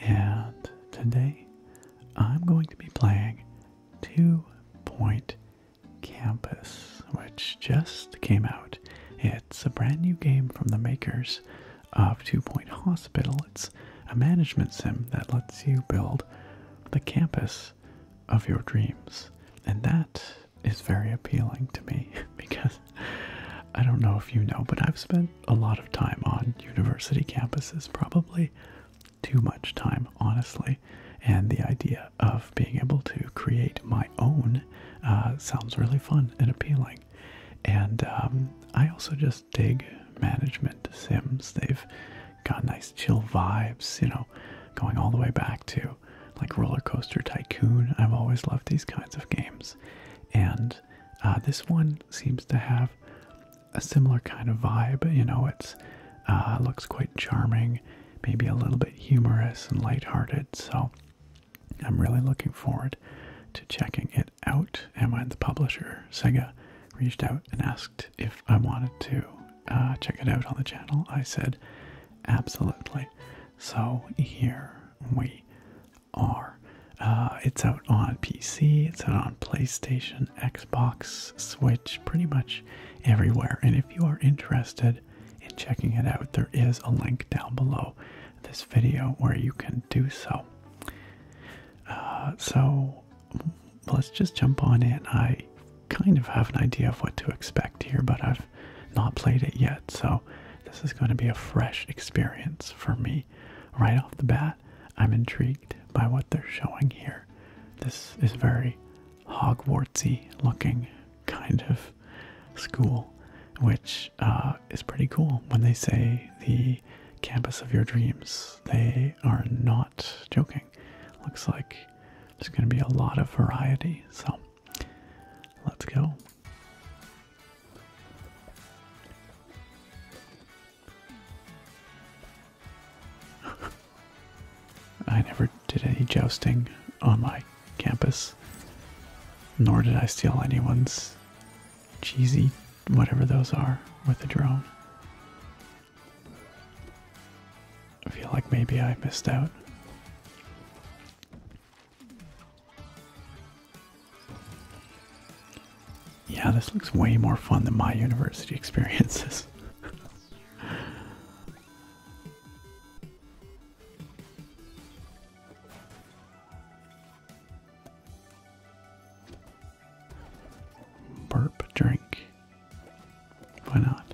and today I'm going to be playing Two Point Campus, which just came out. It's a brand new game from the makers of Two Point Hospital. It's a management sim that lets you build the campus of your dreams. And that is very appealing to me because I don't know if you know, but I've spent a lot of time on university campuses, probably too much time, honestly. And the idea of being able to create my own uh, sounds really fun and appealing. And um, I also just dig management sims. They've got nice chill vibes, you know, going all the way back to like Roller Coaster Tycoon. I've always loved these kinds of games. And uh, this one seems to have a similar kind of vibe. You know, it's uh, looks quite charming, maybe a little bit humorous and lighthearted. So I'm really looking forward to checking it out. And when the publisher Sega reached out and asked if I wanted to uh, check it out on the channel, I said absolutely. So here we are. Uh, it's out on PC, it's out on PlayStation, Xbox, Switch, pretty much everywhere. And if you are interested in checking it out, there is a link down below this video where you can do so. Uh, so let's just jump on in. I kind of have an idea of what to expect here, but I've not played it yet, so this is going to be a fresh experience for me right off the bat, I'm intrigued by what they're showing here. This is very Hogwartsy looking kind of school, which uh, is pretty cool. When they say the campus of your dreams, they are not joking. Looks like there's going to be a lot of variety, so let's go. I never did any jousting on my campus, nor did I steal anyone's cheesy whatever those are with a drone. I feel like maybe I missed out. Yeah, this looks way more fun than my university experiences. Burp, drink. Why not?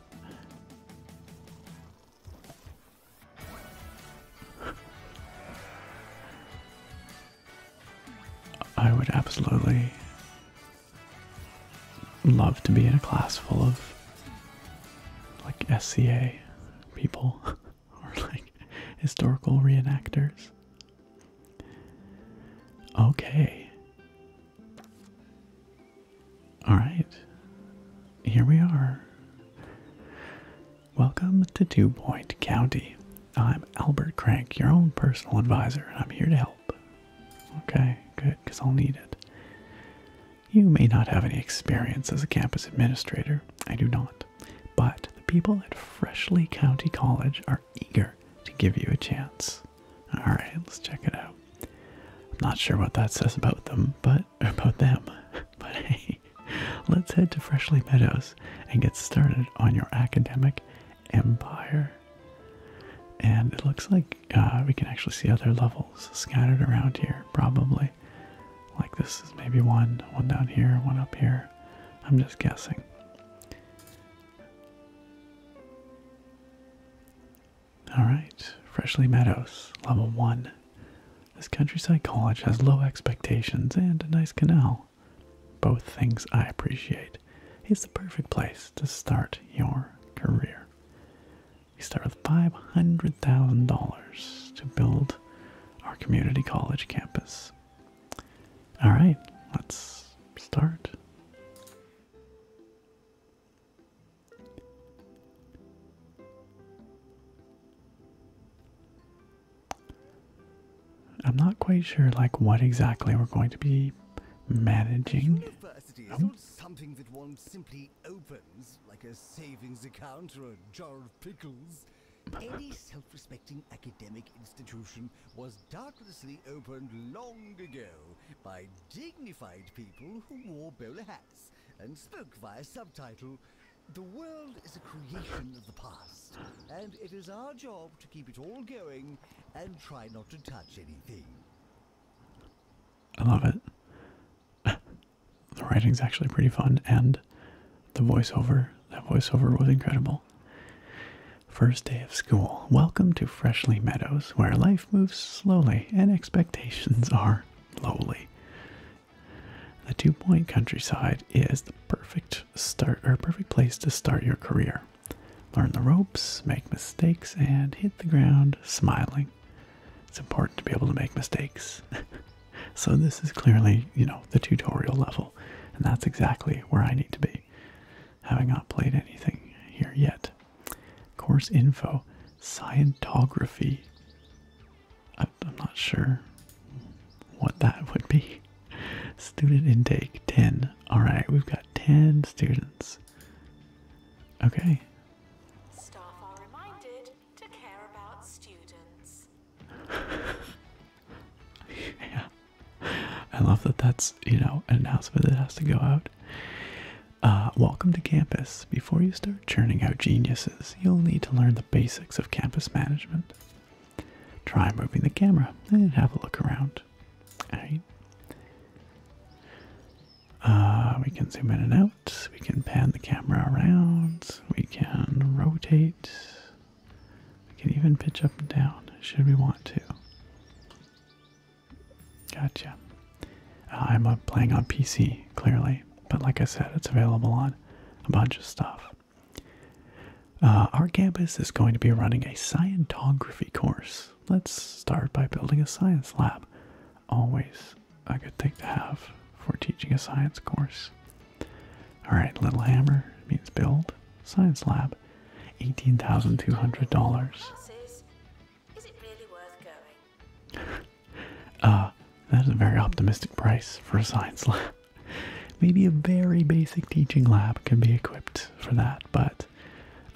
I would absolutely love to be in a class full of like SCA people or like historical reenactors. Okay. All right. Here we are. Welcome to Two Point County. I'm Albert Crank, your own personal advisor. I'm here to help. Okay, good, because I'll need it. You may not have any experience as a campus administrator. I do not. But the people at Freshly County College are eager to give you a chance. Alright, let's check it out. I'm not sure what that says about them, but about them. But hey, let's head to Freshly Meadows and get started on your academic empire. And it looks like uh, we can actually see other levels scattered around here, probably. Like this is maybe one, one down here, one up here. I'm just guessing. Alright, Freshly Meadows, level 1. This countryside college has low expectations and a nice canal both things I appreciate, is the perfect place to start your career. We start with $500,000 to build our community college campus. All right, let's start. I'm not quite sure like what exactly we're going to be managing. Any self-respecting academic institution was doubtlessly opened long ago by dignified people who wore bowler hats and spoke via subtitle. The world is a creation of the past, and it is our job to keep it all going and try not to touch anything. I love it. the writing's actually pretty fun, and the voiceover, that voiceover was incredible. First day of school. Welcome to Freshly Meadows, where life moves slowly and expectations are lowly. The two point countryside is the perfect start or perfect place to start your career. Learn the ropes, make mistakes, and hit the ground smiling. It's important to be able to make mistakes. so this is clearly, you know, the tutorial level, and that's exactly where I need to be. Having not played anything here yet. Course info, Scientography. I'm not sure what that would be. Student intake 10. Alright, we've got 10 students. Okay. yeah. I love that that's, you know, an announcement that has to go out. Uh, welcome to campus. Before you start churning out geniuses, you'll need to learn the basics of campus management. Try moving the camera and have a look around. Alright. Uh, we can zoom in and out. We can pan the camera around. We can rotate. We can even pitch up and down should we want to. Gotcha. Uh, I'm uh, playing on PC, clearly, but like I said, it's available on a bunch of stuff. Uh, our campus is going to be running a Scientography course. Let's start by building a science lab. Always a good thing to have for teaching a science course. Alright, Little Hammer means build. Science lab. $18,200. Is uh, that is a very optimistic price for a science lab. Maybe a very basic teaching lab can be equipped for that, but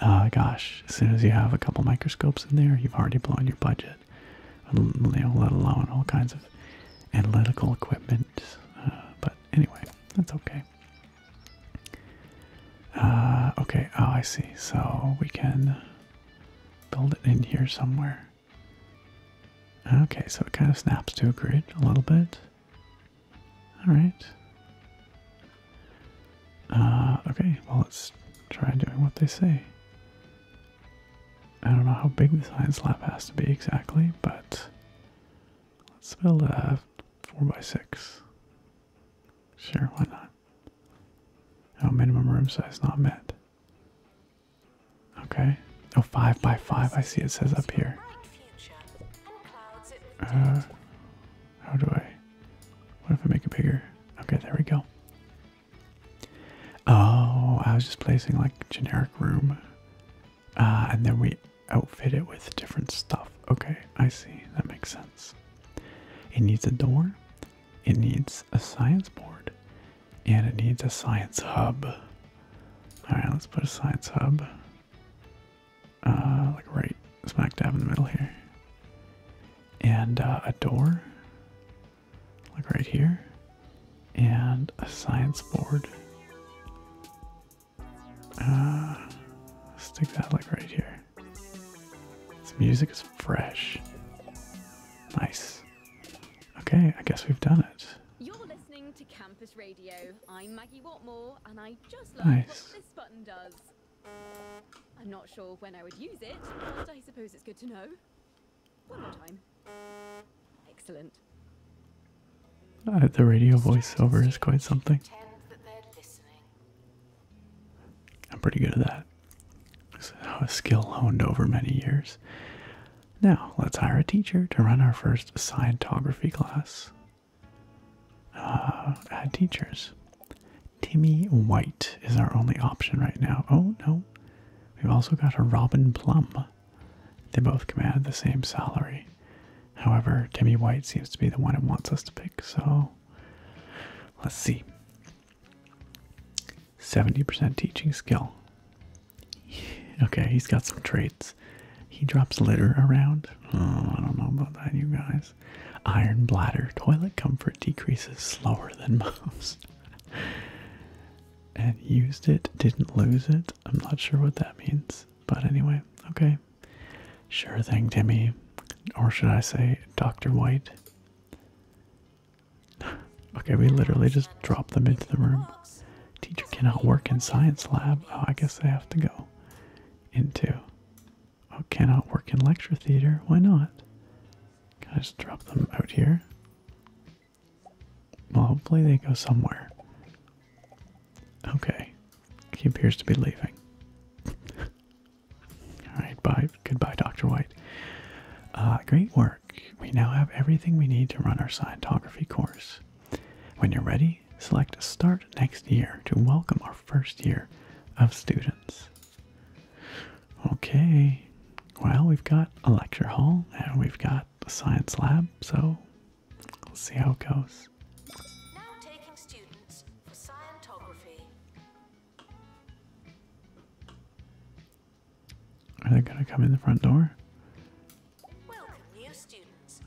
uh, gosh, as soon as you have a couple microscopes in there, you've already blown your budget. You know, let alone all kinds of analytical equipment. Uh, but anyway, that's okay. Uh, okay, oh, I see. So we can build it in here somewhere. Okay, so it kind of snaps to a grid a little bit. All right. Uh, okay, well, let's try doing what they say. I don't know how big the science lab has to be exactly, but let's build a 4x6. Sure, why not? Oh, minimum room size not met. Okay. Oh, 5x5, I see it says up here. Uh, how do I? What if I make it bigger? Okay, there we go. Oh, I was just placing like generic room. Uh, and then we outfit it with different stuff. Okay, I see. That makes sense. It needs a door, it needs a science board, and it needs a science hub. Alright, let's put a science hub uh, like right smack dab in the middle here, and uh, a door, like right here, and a science board. Uh, stick that like right here. This music is fresh. Nice. Okay, I guess we've done it. You're listening to Campus Radio. I'm Maggie Watmore, and I just love nice. what this button does. I'm not sure when I would use it, but I suppose it's good to know. One more time. Excellent. the radio voiceover is quite something. I'm pretty good at that. It's a skill honed over many years. Now, let's hire a teacher to run our first Scientography class. Uh, teachers. Timmy White is our only option right now. Oh no, we've also got a Robin Plum. They both command the same salary. However, Timmy White seems to be the one it wants us to pick, so let's see. 70% teaching skill. Okay, he's got some traits. He drops litter around. Oh, I don't know about that, you guys iron bladder toilet comfort decreases slower than most. and used it, didn't lose it. I'm not sure what that means, but anyway, okay. Sure thing, Timmy. Or should I say, Dr. White? okay, we literally just dropped them into the room. Teacher cannot work in science lab. Oh, I guess they have to go into Oh, cannot work in lecture theater. Why not? Can I just drop them out here? Well, hopefully they go somewhere. Okay. He appears to be leaving. Alright, bye. Goodbye, Dr. White. Uh, great work. We now have everything we need to run our Scientography course. When you're ready, select Start Next Year to welcome our first year of students. Okay, well, we've got a lecture hall and we've got a science lab, so we'll see how it goes. Now taking students Are they going to come in the front door?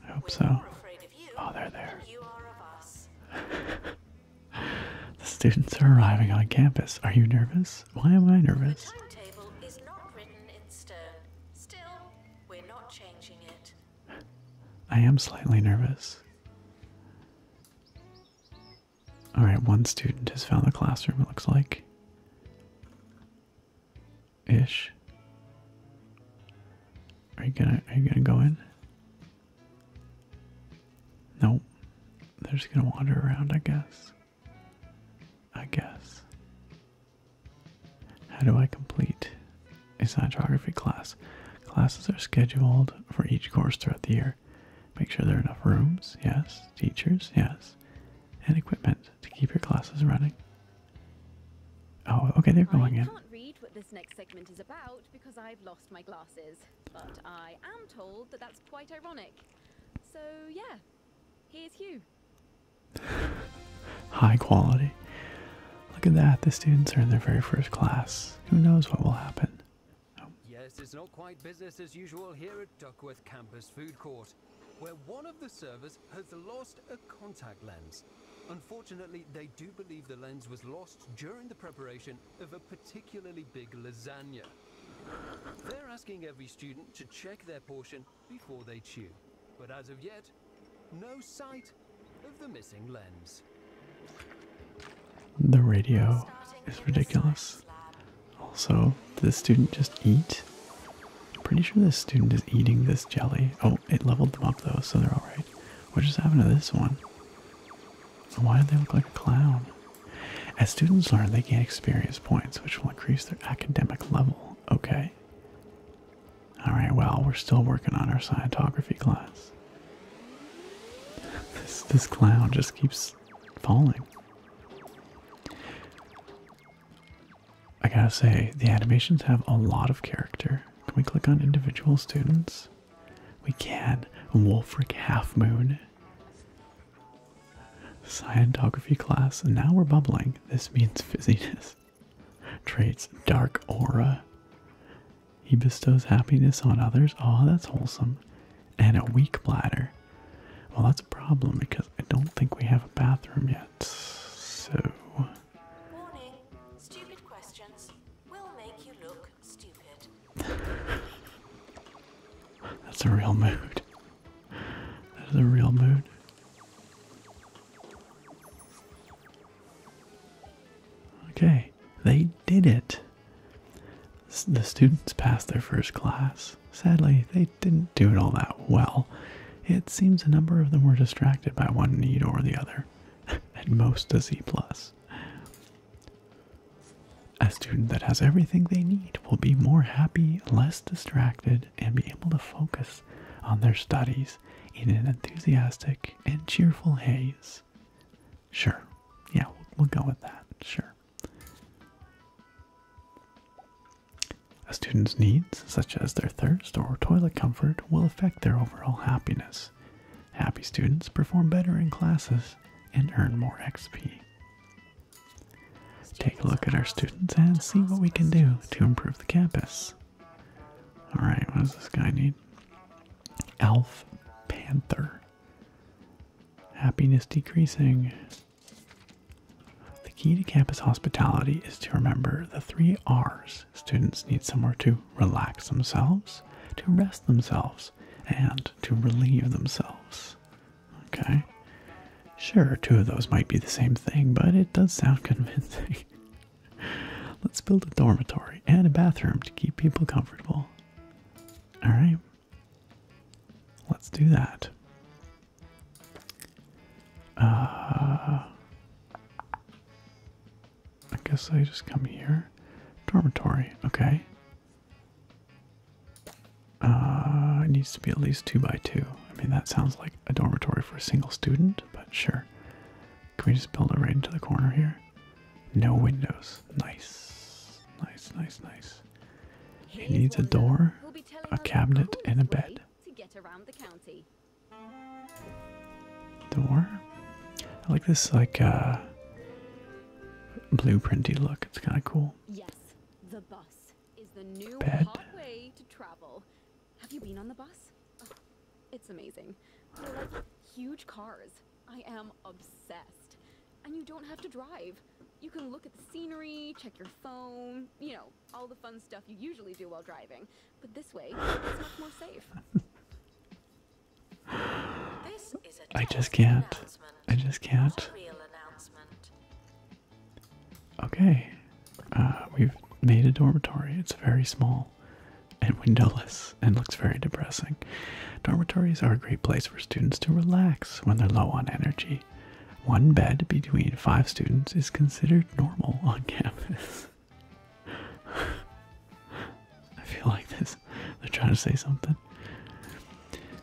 I hope so. Oh, they're there. the students are arriving on campus. Are you nervous? Why am I nervous? I am slightly nervous. Alright, one student has found the classroom, it looks like. Ish. Are you gonna are you gonna go in? Nope. They're just gonna wander around, I guess. I guess. How do I complete a science class? Classes are scheduled for each course throughout the year. Make sure there are enough rooms, yes. Teachers, yes. And equipment to keep your classes running. Oh, okay, they're going I can't in. Read what this next segment is about because I've lost my glasses, but I am told that that's quite ironic. So, yeah, here's Hugh. High quality. Look at that, the students are in their very first class. Who knows what will happen? Yes, it's not quite business as usual here at Duckworth Campus Food Court, where one of the servers has lost a contact lens. Unfortunately, they do believe the lens was lost during the preparation of a particularly big lasagna. They're asking every student to check their portion before they chew, but as of yet, no sight of the missing lens. The radio is ridiculous. Also, did this student just eat? I'm pretty sure this student is eating this jelly. Oh, it leveled them up though, so they're alright. What just happened to this one? why do they look like a clown? As students learn, they gain experience points, which will increase their academic level. Okay. Alright, well, we're still working on our Scientography class. this clown just keeps falling. I gotta say, the animations have a lot of character. Can we click on individual students? We can. Wolfric Halfmoon. Moon. class. And now we're bubbling. This means fizziness. Traits Dark Aura. He bestows happiness on others. Oh, that's wholesome. And a weak bladder. Well, that's a problem because I don't think we have a bathroom yet. So. Stupid questions will make you look that's a real mood. That is a real mood. Okay, they did it. The students passed their first class. Sadly, they didn't do it all that well. It seems a number of them were distracted by one need or the other. At most a C plus. A student that has everything they need will be more happy, less distracted, and be able to focus on their studies in an enthusiastic and cheerful haze. Sure. Yeah, we'll, go with that. Sure. A student's needs, such as their thirst or toilet comfort, will affect their overall happiness. Happy students perform better in classes and earn more XP. Take a look at our students and see what we can do to improve the campus. Alright, what does this guy need? Elf Panther. Happiness decreasing. The key to campus hospitality is to remember the three R's. Students need somewhere to relax themselves, to rest themselves, and to relieve themselves. Okay? Sure, two of those might be the same thing, but it does sound convincing. Let's build a dormitory and a bathroom to keep people comfortable. Alright. Let's do that. Uh, I guess I just come here. Dormitory, okay. Uh, it needs to be at least two by two. I mean, that sounds like a dormitory for a single student, but sure. Can we just build it right into the corner here? No windows. Nice. Nice, nice, nice. It needs a door, a cabinet, and a bed. Door. I like this, like, uh, blueprinty look. It's kind of cool. Yes, the bus is the new Bed. hot way to travel. Have you been on the bus? Oh, it's amazing. huge cars. I am obsessed. And you don't have to drive. You can look at the scenery, check your phone, you know, all the fun stuff you usually do while driving. But this way, it's much more safe. I just can't. I just can't. Okay. Uh, we've made a dormitory. It's very small and windowless and looks very depressing. Dormitories are a great place for students to relax when they're low on energy. One bed between five students is considered normal on campus. I feel like this. They're trying to say something.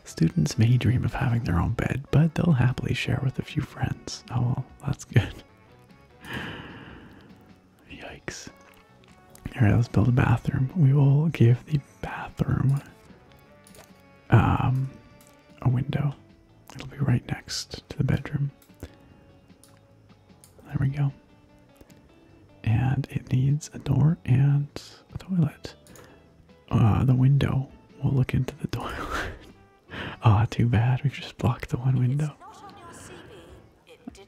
Students may dream of having their own bed, but they'll happily share with a few friends. Oh, well, that's good. Yikes. Alright, let's build a bathroom. We will give the bathroom um, a window. It'll be right next to the bedroom. There we go. And it needs a door and a toilet. Uh, the window. We'll look into the toilet. Ah, oh, too bad. We just blocked the one window.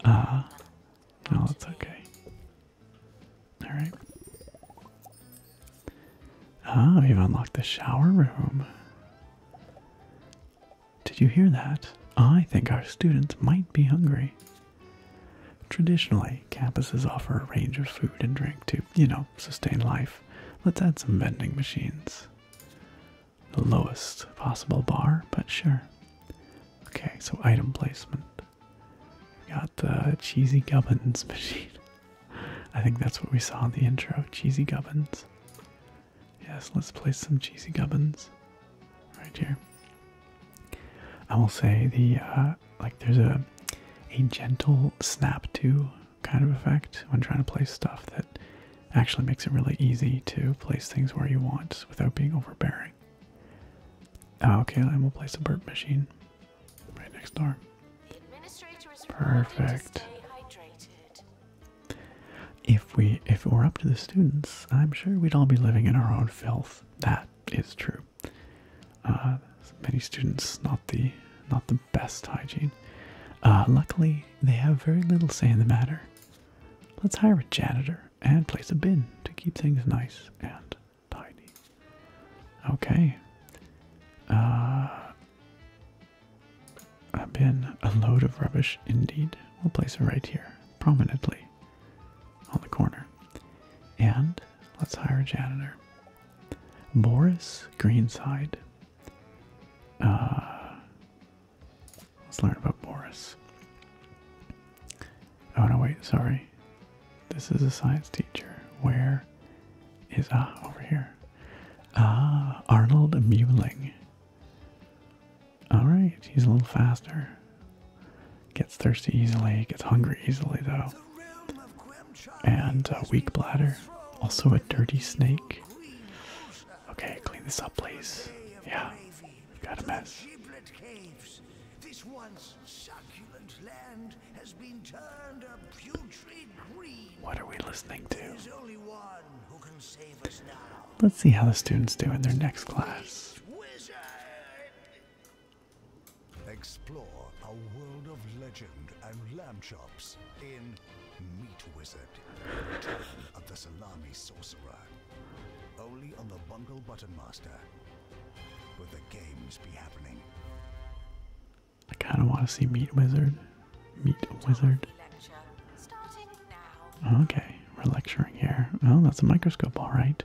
Ah, no, that's okay. All right. Ah, we've unlocked the shower room. Did you hear that? I think our students might be hungry. Traditionally, campuses offer a range of food and drink to, you know, sustain life. Let's add some vending machines. The lowest possible bar, but sure. Okay, so item placement. got the cheesy gubbins machine. I think that's what we saw in the intro, cheesy gubbins. Yes, let's place some cheesy gubbins right here. I will say the uh, like there's a a gentle snap to kind of effect when trying to place stuff that actually makes it really easy to place things where you want without being overbearing. Oh, okay, and we'll place a burp machine right next door. Perfect. if we if it were up to the students, I'm sure we'd all be living in our own filth. That is true. Uh, many students not the not the best hygiene. Uh, luckily, they have very little say in the matter. Let's hire a janitor and place a bin to keep things nice and tidy. Okay. Uh, a bin, a load of rubbish, indeed. We'll place it right here, prominently on the corner. And let's hire a janitor. Boris Greenside. Uh, let's learn about Boris. Oh no, wait, sorry. This is a science teacher. Where is. Ah, over here. Ah, Arnold Muling. Alright, he's a little faster. Gets thirsty easily, gets hungry easily though. And a weak bladder. Also a dirty snake. Okay, clean this up, please. Yeah, we've got a mess. This once succulent land has been turned a putrid green. What are we listening to? Let's see how the students do in their next class. Explore a world of legend and lamb chops in Meat Wizard. Return of the Salami Sorcerer. Only on the Bungle Button Master. Will the games be happening? I kind of want to see Meat Wizard. Meat Wizard. Okay, we're lecturing here. Well, that's a microscope, all right.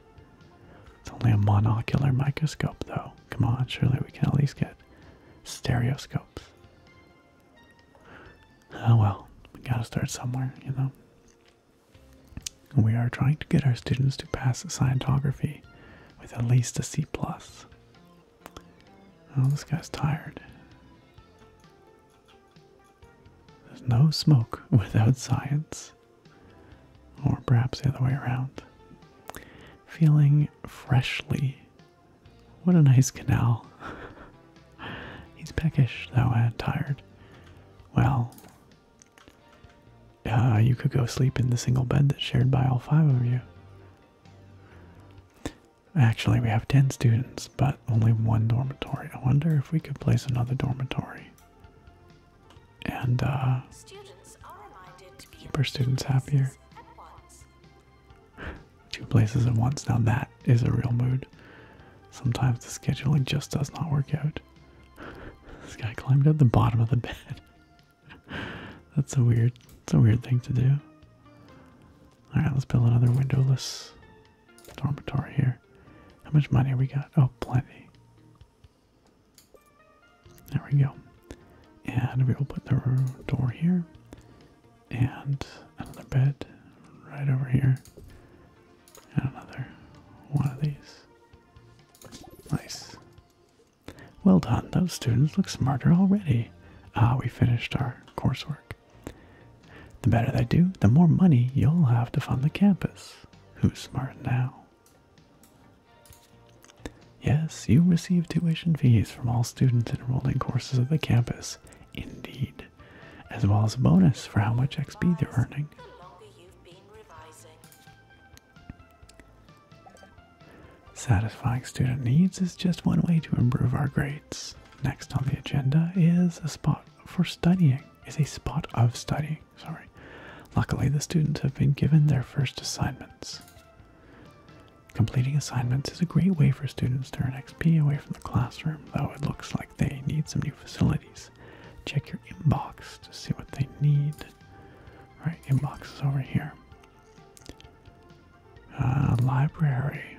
It's only a monocular microscope, though. Come on, surely we can at least get stereoscopes. Oh well, we gotta start somewhere, you know. We are trying to get our students to pass Scientography with at least a C plus. Oh, this guy's tired. There's no smoke without science or perhaps the other way around. Feeling freshly. What a nice canal. He's peckish, though, and tired. Well, uh, you could go sleep in the single bed that's shared by all five of you. Actually, we have 10 students, but only one dormitory. I wonder if we could place another dormitory and uh, keep our students happier. Two places at once. Now that is a real mood. Sometimes the scheduling just does not work out. this guy climbed up the bottom of the bed. that's a weird, that's a weird thing to do. All right, let's build another windowless dormitory here. How much money we got? Oh, plenty. There we go. And we will put the door here and another bed right over here. And another one of these. Nice. Well done. Those students look smarter already. Ah, we finished our coursework. The better they do, the more money you'll have to fund the campus. Who's smart now? Yes, you receive tuition fees from all students enrolled in courses at the campus, indeed, as well as a bonus for how much XP they're earning. Satisfying student needs is just one way to improve our grades. Next on the agenda is a spot for studying, is a spot of study sorry, Luckily, the students have been given their first assignments. Completing assignments is a great way for students to earn XP away from the classroom, though it looks like they need some new facilities. Check your inbox to see what they need. Alright, inbox is over here. Uh, library.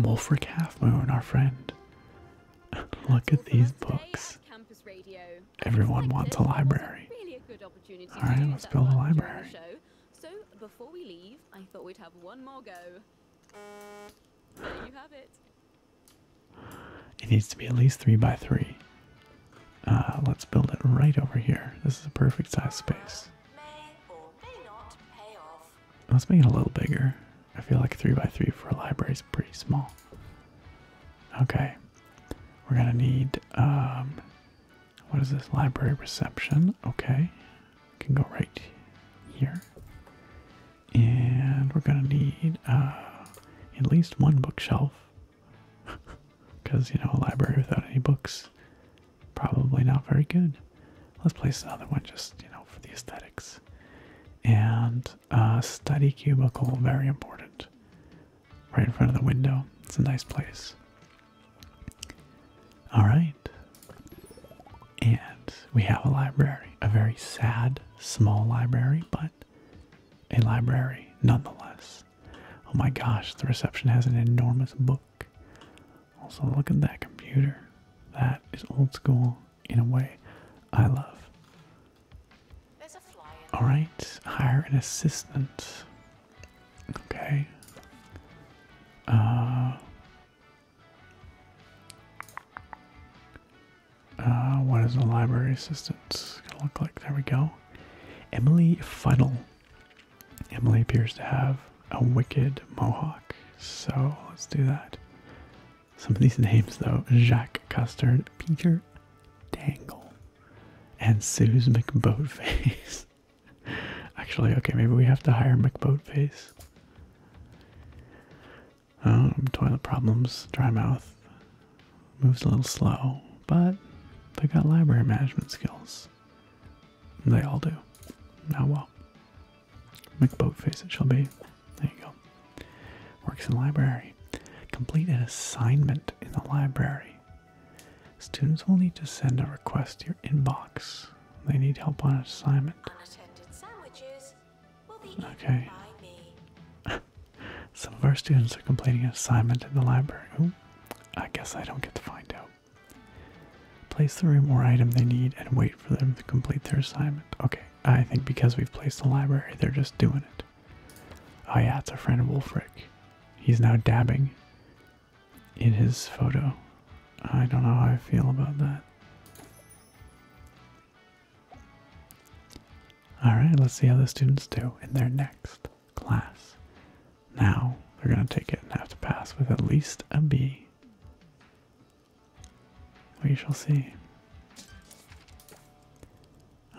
Wolfric Half Moon, our friend. Look at these books. Everyone wants a library. All right, let's build a library. before we leave, I thought we'd have one more go. it. needs to be at least three by three. Uh, let's build it right over here. This is a perfect size space. Let's make it a little bigger. I feel like three by three for a library is pretty small. Okay. We're gonna need um, what is this? Library reception. Okay. can go right here. And we're gonna need uh, at least one bookshelf. Because you know a library without any books probably not very good. Let's place another one just, you know, for the aesthetics. And a uh, study cubicle, very important, right in front of the window. It's a nice place. All right. And we have a library, a very sad, small library, but a library nonetheless. Oh my gosh, the reception has an enormous book. Also, look at that computer. That is old school in a way I love. Alright, hire an assistant. Okay. Uh, uh, what is the library assistant look like? There we go. Emily Funnel. Emily appears to have a wicked mohawk, so let's do that. Some of these names, though Jacques Custard, Peter Dangle, and Suze McBoatface. Actually, okay, maybe we have to hire McBoatface. Um, toilet problems, dry mouth, moves a little slow, but they got library management skills. They all do. Now, well, McBoatface it shall be. There you go. Works in library. Complete an assignment in the library. Students will need to send a request to your inbox. They need help on an assignment. okay. Some of our students are completing an assignment in the library. I guess I don't get to find out. Place the room or item they need and wait for them to complete their assignment. Okay, I think because we've placed the library, they're just doing it. Oh yeah, it's our friend Wolfric. He's now dabbing in his photo. I don't know how I feel about that. Alright, let's see how the students do in their next class. Now, they're going to take it and have to pass with at least a B. We shall see.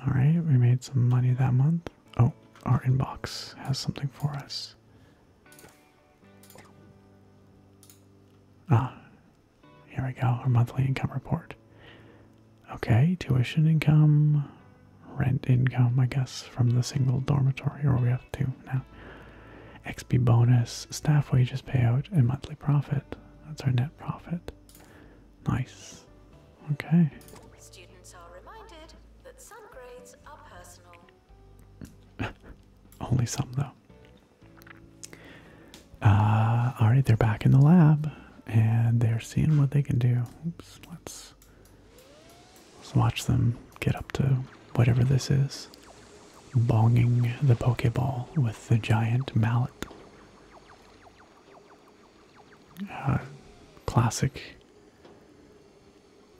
All right, we made some money that month. Oh, our inbox has something for us. Ah, here we go, our monthly income report. Okay, tuition income, rent income, I guess, from the single dormitory, or we have two now. XP bonus, staff wages payout, and monthly profit. That's our net profit. Nice. Okay. Only some though. Uh, all right, they're back in the lab and they're seeing what they can do. let's let's watch them get up to whatever this is. Bonging the Pokeball with the giant mallet. Uh, classic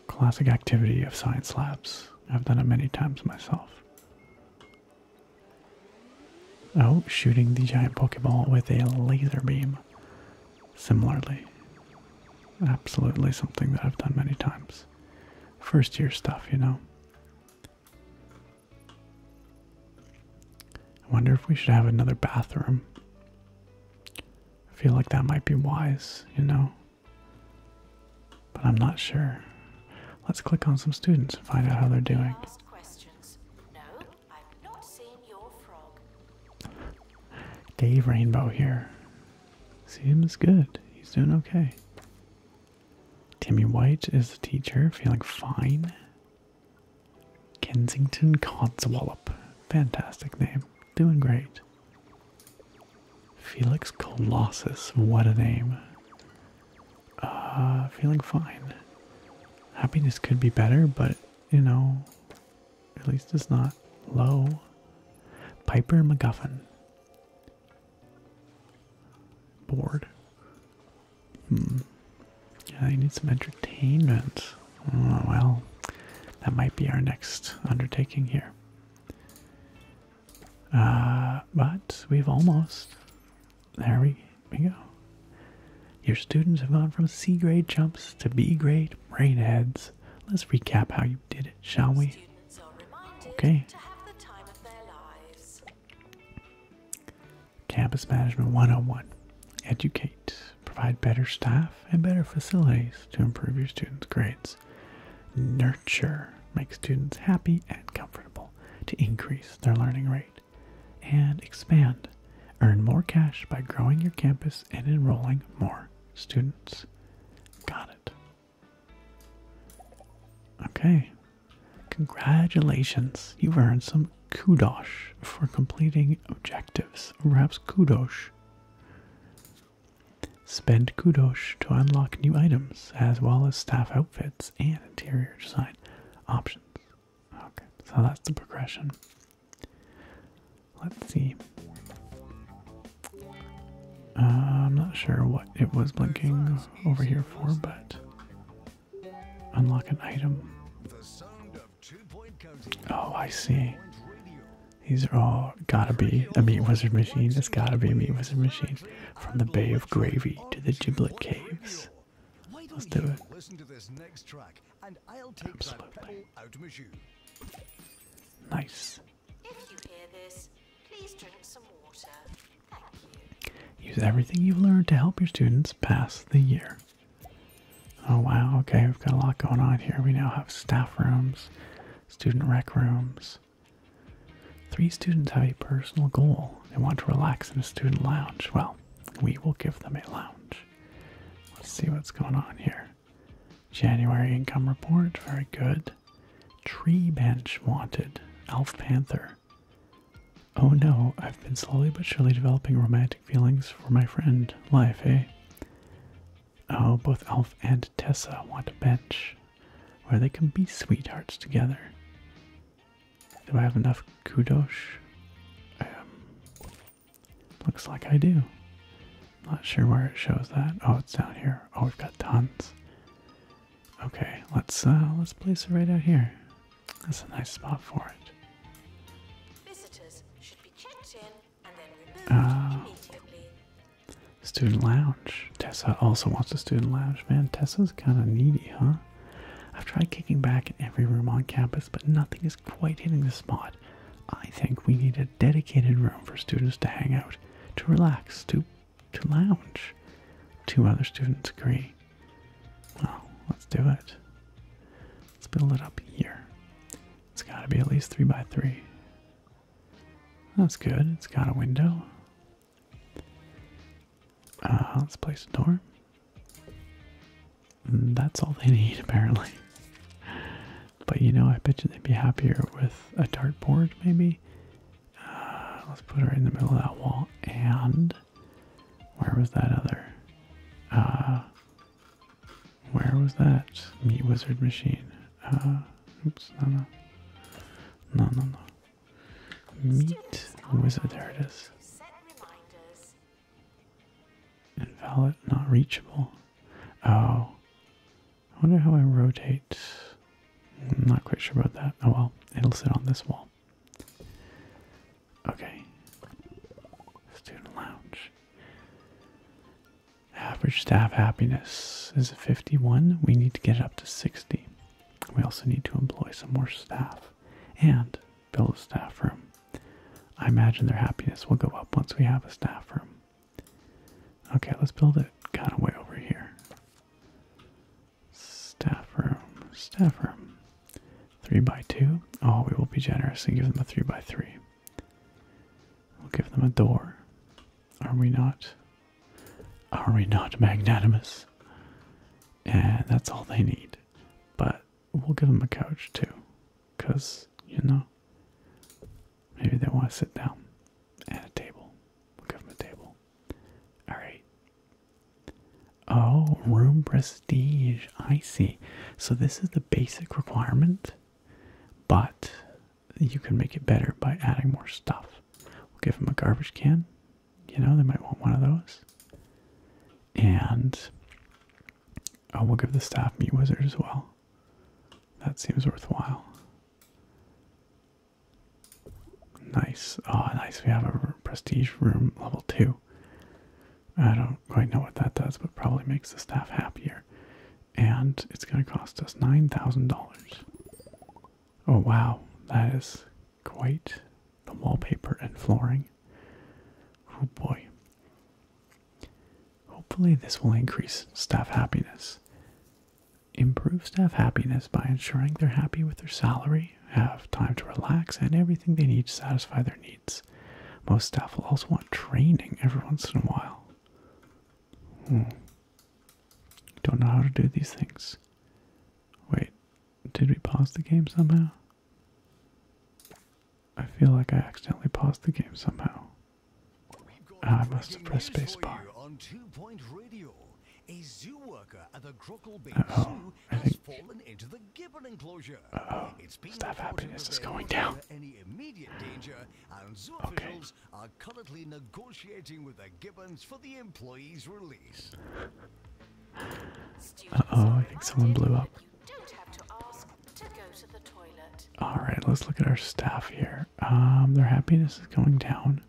classic activity of science labs. I've done it many times myself. Oh, shooting the giant Pokeball with a laser beam. Similarly, absolutely something that I've done many times. First year stuff, you know. I wonder if we should have another bathroom. I feel like that might be wise, you know? But I'm not sure. Let's click on some students and find out how they're doing. Dave Rainbow here. Seems good. He's doing okay. Timmy White is the teacher, feeling fine. Kensington Wallop, Fantastic name. Doing great. Felix Colossus. What a name. Uh, feeling fine. Happiness could be better, but you know, at least it's not low. Piper MacGuffin. Bored. Hmm. Yeah, you need some entertainment. Oh, well, that might be our next undertaking here. Uh, but we've almost. There we, we go. Your students have gone from C grade jumps to B grade brainheads. Let's recap how you did it, shall we? Okay. Campus Management 101 Educate, provide better staff and better facilities to improve your students' grades. Nurture, make students happy and comfortable to increase their learning rate. And expand, earn more cash by growing your campus and enrolling more students. Got it. Okay. Congratulations, you've earned some Kudos for completing objectives. Or perhaps Kudosh. Spend kudos to unlock new items as well as staff outfits and interior design options. Okay, so that's the progression. Let's see. Uh, I'm not sure what it was blinking over here for, but Unlock an item. Oh, I see. These are all gotta be a meat wizard machine. It's gotta be a meat wizard machine. From the Bay of Gravy to the Giblet Caves. Let's do it. Absolutely. Nice. Use everything you've learned to help your students pass the year. Oh wow, okay, we've got a lot going on here. We now have staff rooms, student rec rooms. Three students have a personal goal. They want to relax in a student lounge. Well, we will give them a lounge. Let's see what's going on here. January income report, very good. Tree bench wanted, Elf Panther. Oh no, I've been slowly but surely developing romantic feelings for my friend, Life, eh? Oh, both Alf and Tessa want a bench where they can be sweethearts together. Do I have enough kudos? Um, looks like I do. Not sure where it shows that. Oh, it's down here. Oh, we've got tons. Okay, let's uh, let's place it right out here. That's a nice spot for it. Visitors should be checked in and then removed uh, immediately. Student lounge. Tessa also wants a student lounge. Man, Tessa's kind of needy, huh? I've tried kicking back in every room on campus, but nothing is quite hitting the spot. I think we need a dedicated room for students to hang out, to relax, to to lounge. Two other students agree. Well, let's do it. Let's build it up here. It's got to be at least three by three. That's good. It's got a window. Uh, let's place a door. And that's all they need, apparently. But you know, I bet you they'd be happier with a dartboard, maybe. Uh, let's put her in the middle of that wall. And where was that other? Uh, where was that? Meat Wizard Machine. Uh, oops, no, no. No, no, no. Meat Wizard, there it is. Invalid, not reachable. Oh. I wonder how I rotate. I'm not quite sure about that. Oh well, it'll sit on this wall. Okay. Student lounge. Average staff happiness is 51. We need to get up to 60. We also need to employ some more staff and build a staff room. I imagine their happiness will go up once we have a staff room. Okay, let's build it kind of way over here. Staff room, staff room. Three by two. Oh, we will be generous and give them a three by three. We'll give them a door. Are we not? Are we not magnanimous? And that's all they need. But we'll give them a couch too. Because, you know, maybe they want to sit down. at a table. We'll give them a table. Alright. Oh, room prestige. I see. So this is the basic requirement, but you can make it better by adding more stuff. We'll give them a garbage can. You know, they might want one of those. And oh, we'll give the staff meat wizard as well. That seems worthwhile. Nice. Oh, nice. We have a prestige room level two. I don't quite know what that does, but probably makes the staff happier. And it's going to cost us $9,000. Oh, wow. That is quite the wallpaper and flooring. Oh, boy. Hopefully, this will increase staff happiness. Improve staff happiness by ensuring they're happy with their salary, have time to relax, and everything they need to satisfy their needs. Most staff will also want training every once in a while. Hmm. Don't know how to do these things. Wait, did we pause the game somehow? I feel like I accidentally paused the game somehow. Ah, I must have pressed spacebar. Uh oh, I think Staff happiness is going down. and zoo okay. officials are currently negotiating with the Gibbons for the employees' release. uh oh, I think someone blew up. Alright, let's look at our staff here. Um, their happiness is going down.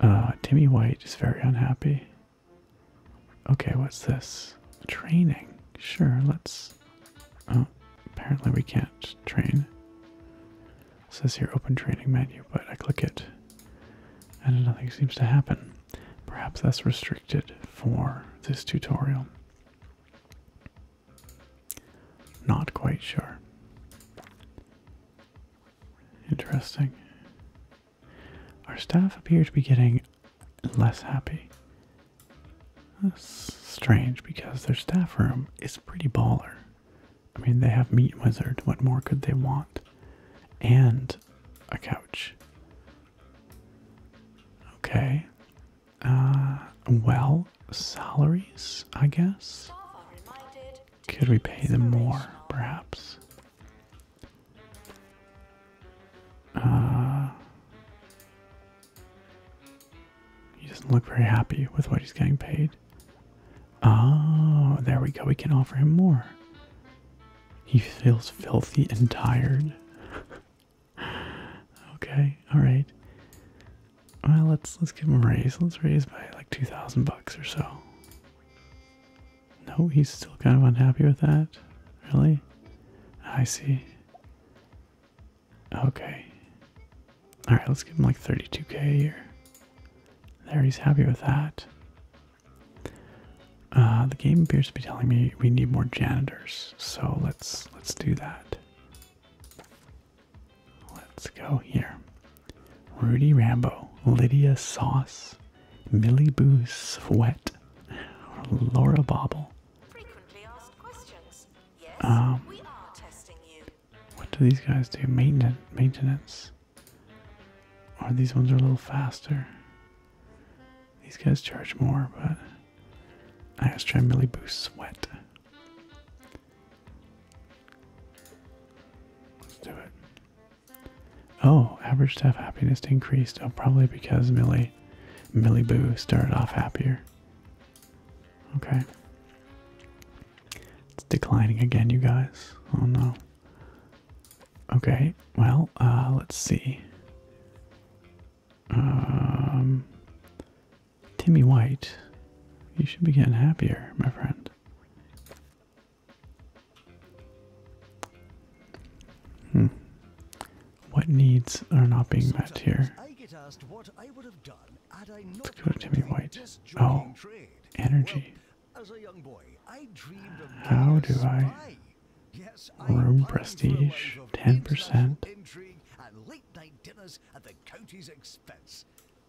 Uh, Timmy White is very unhappy. Okay, what's this? Training. Sure, let's. Oh, apparently we can't train. It says here open training menu, but I click it and nothing seems to happen. Perhaps that's restricted for this tutorial. Not quite sure. Interesting. Our staff appear to be getting less happy. That's strange because their staff room is pretty baller. I mean, they have Meat Wizard. What more could they want? And a couch. Okay. Uh, well, salaries, I guess. Could we pay them more, perhaps? Uh, he doesn't look very happy with what he's getting paid. Oh, there we go. We can offer him more. He feels filthy and tired. okay, all right. Well, let's let's give him a raise. Let's raise by like two thousand bucks or so. No, he's still kind of unhappy with that. Really? I see. Okay. Alright, let's give him like 32k a year. There, he's happy with that. Uh, the game appears to be telling me we need more janitors, so let's let's do that. Let's go here. Rudy Rambo, Lydia Sauce, Millie Boo Sweat, Laura Bobble, Frequently asked questions. um, What do these guys do? Maintenance. Maintenance. Or these ones are a little faster. These guys charge more, but I was trying to really boost sweat. Let's do it. Oh, average staff happiness increased. Oh, probably because Millie why Millie Boo started off happier. Okay. It's declining again, you guys. Oh no. Okay, well, uh, let's see. Um, Timmy White, you should be getting happier, my friend. Hmm. What needs are not being met here? Let's go to Timmy White. Oh, trade. energy. Well, as a young boy, How do I? Room prestige, ten percent.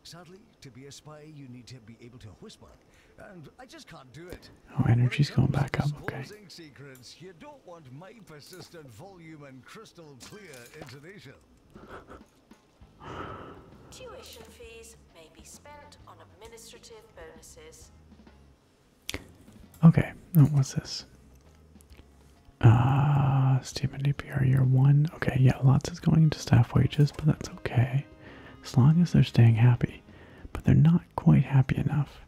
Sadly, to be a spy, you need to be able to whisper, Oh, energy's going back up. Okay don't want my persistent volume and crystal clear intonation. Tuition fees may be spent on administrative bonuses. Okay, what's this? Uh, student DPR year one. Okay, yeah, lots is going into staff wages, but that's okay. As long as they're staying happy. But they're not quite happy enough.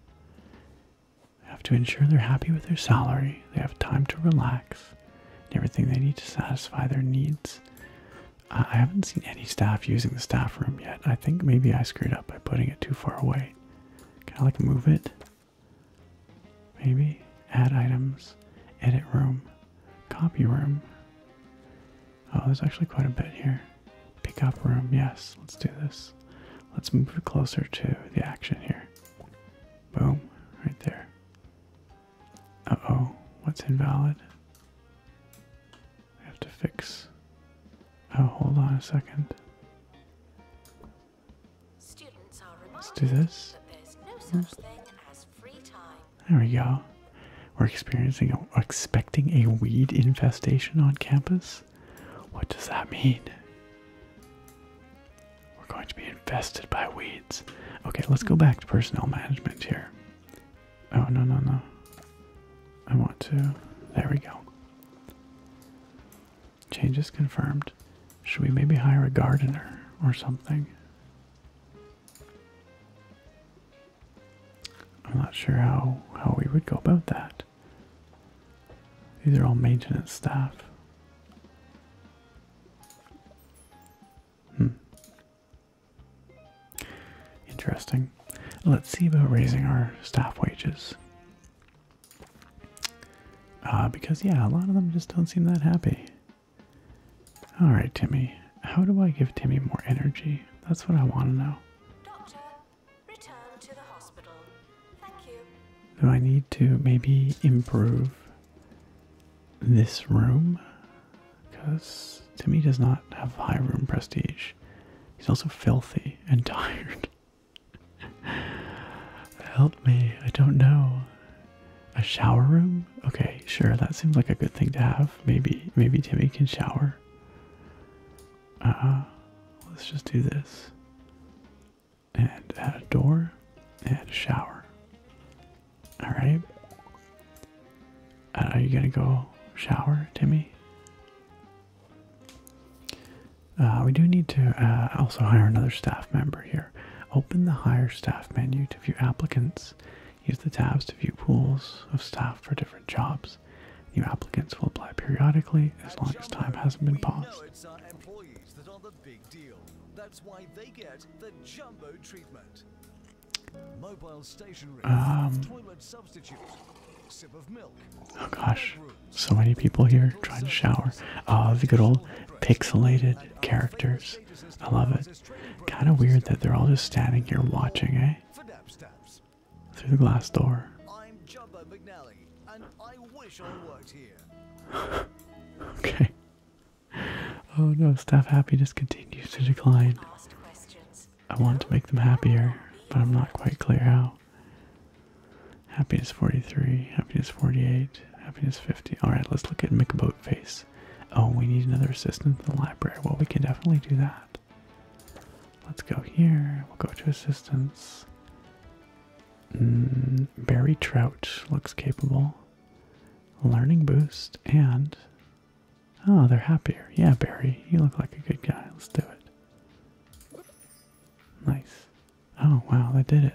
They have to ensure they're happy with their salary, they have time to relax, everything they need to satisfy their needs. I haven't seen any staff using the staff room yet. I think maybe I screwed up by putting it too far away. Can I like move it? Maybe? Add items, edit room, copy room. Oh, there's actually quite a bit here. Pickup room, yes, let's do this let's move closer to the action here. Boom, right there. Uh-oh, what's invalid? I have to fix. Oh, hold on a second. Let's do this. Hmm. there we go. We're experiencing, a, expecting a weed infestation on campus. What does that mean? We're going to be infested by weeds. Okay, let's go back to personnel management here. Oh, no, no, no. I want to. There we go. Changes confirmed. Should we maybe hire a gardener or something? I'm not sure how how we would go about that. These are all maintenance staff. Hmm. Interesting. Let's see about raising our staff wages. Uh, because, yeah, a lot of them just don't seem that happy. Alright, Timmy. How do I give Timmy more energy? That's what I want to know. Do I need to maybe improve this room? Because Timmy does not have high room prestige. He's also filthy and tired. Help me, I don't know. A shower room? Okay, sure, that seems like a good thing to have. Maybe maybe Timmy can shower. Uh let's just do this and a door and a shower. Alright. are you gonna go shower, Timmy? Uh, we do need to uh, also hire another staff member here. Open the hire staff menu to view applicants. Use the tabs to view pools of staff for different jobs. New applicants will apply periodically as long as time hasn't been paused that are the big deal. That's why they get the jumbo treatment. Mobile stationery, um, toilet substitute, sip of milk. Oh gosh, so many people here trying to shower. Uh, the good old pixelated characters. I love it. Kind of weird that they're all just standing here watching, eh? Through the glass door and I wish I worked here. okay. Oh no, staff happy just continues to decline. I want to make them happier, but I'm not quite clear how. Happiness 43, happiness 48, happiness 50. Alright, let's look at McBoatface. Oh, we need another assistant in the library. Well, we can definitely do that. Let's go here. We'll go to assistance. Mm, Barry Trout looks capable. Learning boost and. Oh, they're happier. Yeah, Barry, you look like a good guy. Let's do it. Nice. Oh, wow, they did it.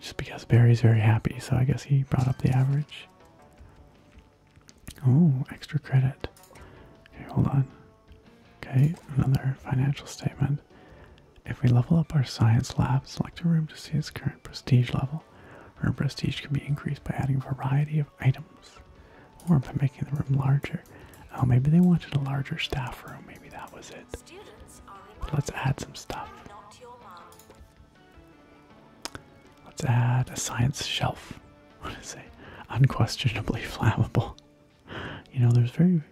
Just because Barry's very happy, so I guess he brought up the average. Oh, extra credit. Okay, hold on. Okay, another financial statement. If we level up our science lab, select a room to see its current prestige level. Room prestige can be increased by adding a variety of items or by making the room larger. Oh, maybe they wanted a larger staff room. Maybe that was it. let's add some stuff. Let's add a science shelf. What is say? Unquestionably flammable. You know, there's very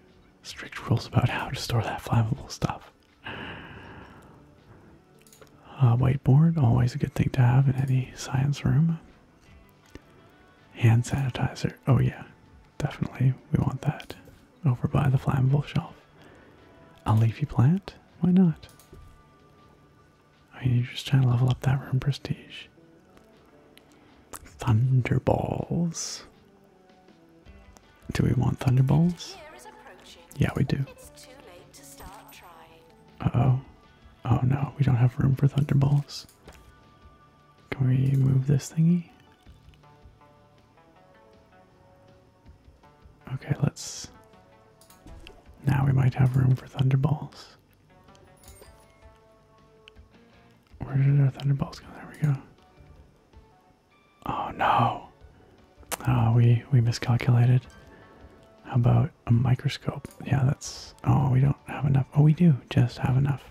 strict rules about how to store that flammable stuff. Uh, whiteboard, always a good thing to have in any science room. Hand sanitizer, oh yeah, definitely we want that over by the flammable shelf. A leafy plant, why not? I mean, you're just trying to level up that room prestige. Thunderballs. Do we want thunderballs? Yeah, we do. Uh oh. Oh no, we don't have room for thunderballs. Can we move this thingy? Okay, let's. Now we might have room for thunderballs. Where did our thunderbolts go? There we go. Oh no. Uh, we we miscalculated. How about a microscope? Yeah, that's. Oh, we don't have enough. Oh, we do just have enough.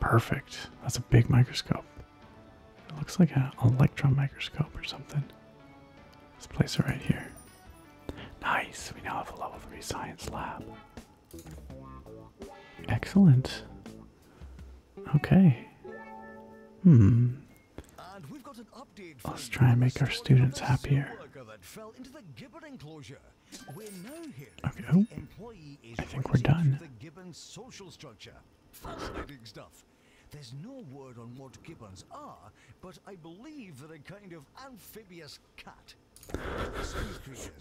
Perfect. That's a big microscope. It looks like an electron microscope or something. Let's place it right here. Nice. We now have a level three science lab. Excellent. Okay. Hmm. Let's try and make our students happier. Okay. Oh, I think we're done. Fascinating stuff. There's no word on what gibbons are, but I believe they're kind of amphibious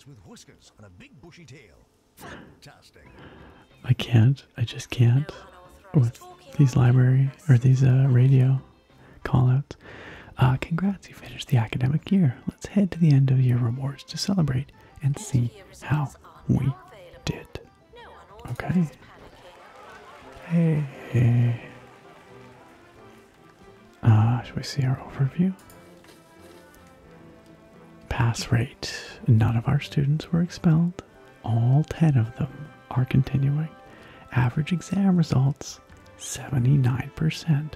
with whiskers and a big bushy tail. Fantastic. I can't. I just can't with these library or these uh, radio callouts. Uh, congrats, you finished the academic year. Let's head to the end of year rewards to celebrate and see how we did. Okay. Hey, uh, should we see our overview? Pass rate. None of our students were expelled. All 10 of them are continuing. Average exam results 79%.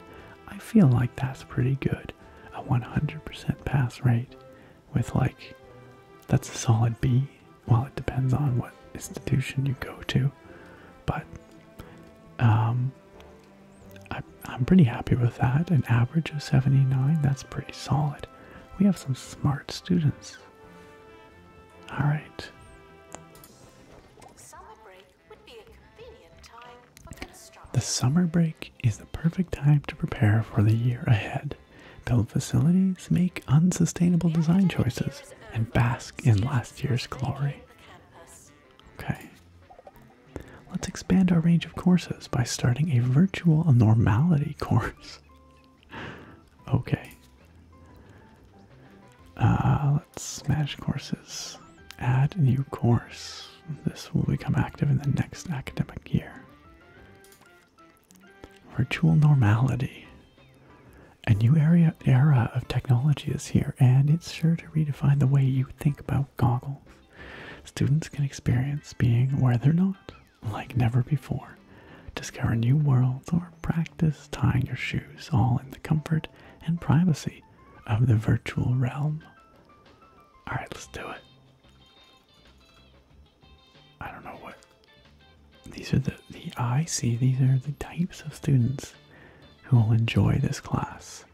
I feel like that's pretty good. A 100% pass rate with like, that's a solid B. While it depends on what institution you go to, but um, I, am pretty happy with that. An average of 79, that's pretty solid. We have some smart students. Alright. The summer break is the perfect time to prepare for the year ahead. Build facilities, make unsustainable design choices, and bask in last year's glory. Okay. Let's expand our range of courses by starting a virtual normality course. okay. Uh, let's smash courses. Add new course. This will become active in the next academic year. Virtual normality. A new area, era of technology is here, and it's sure to redefine the way you think about goggles. Students can experience being where they're not, like never before. Discover new worlds or practice tying your shoes, all in the comfort and privacy of the virtual realm. Alright, let's do it. I don't know what. These are the, the I see, these are the types of students who will enjoy this class.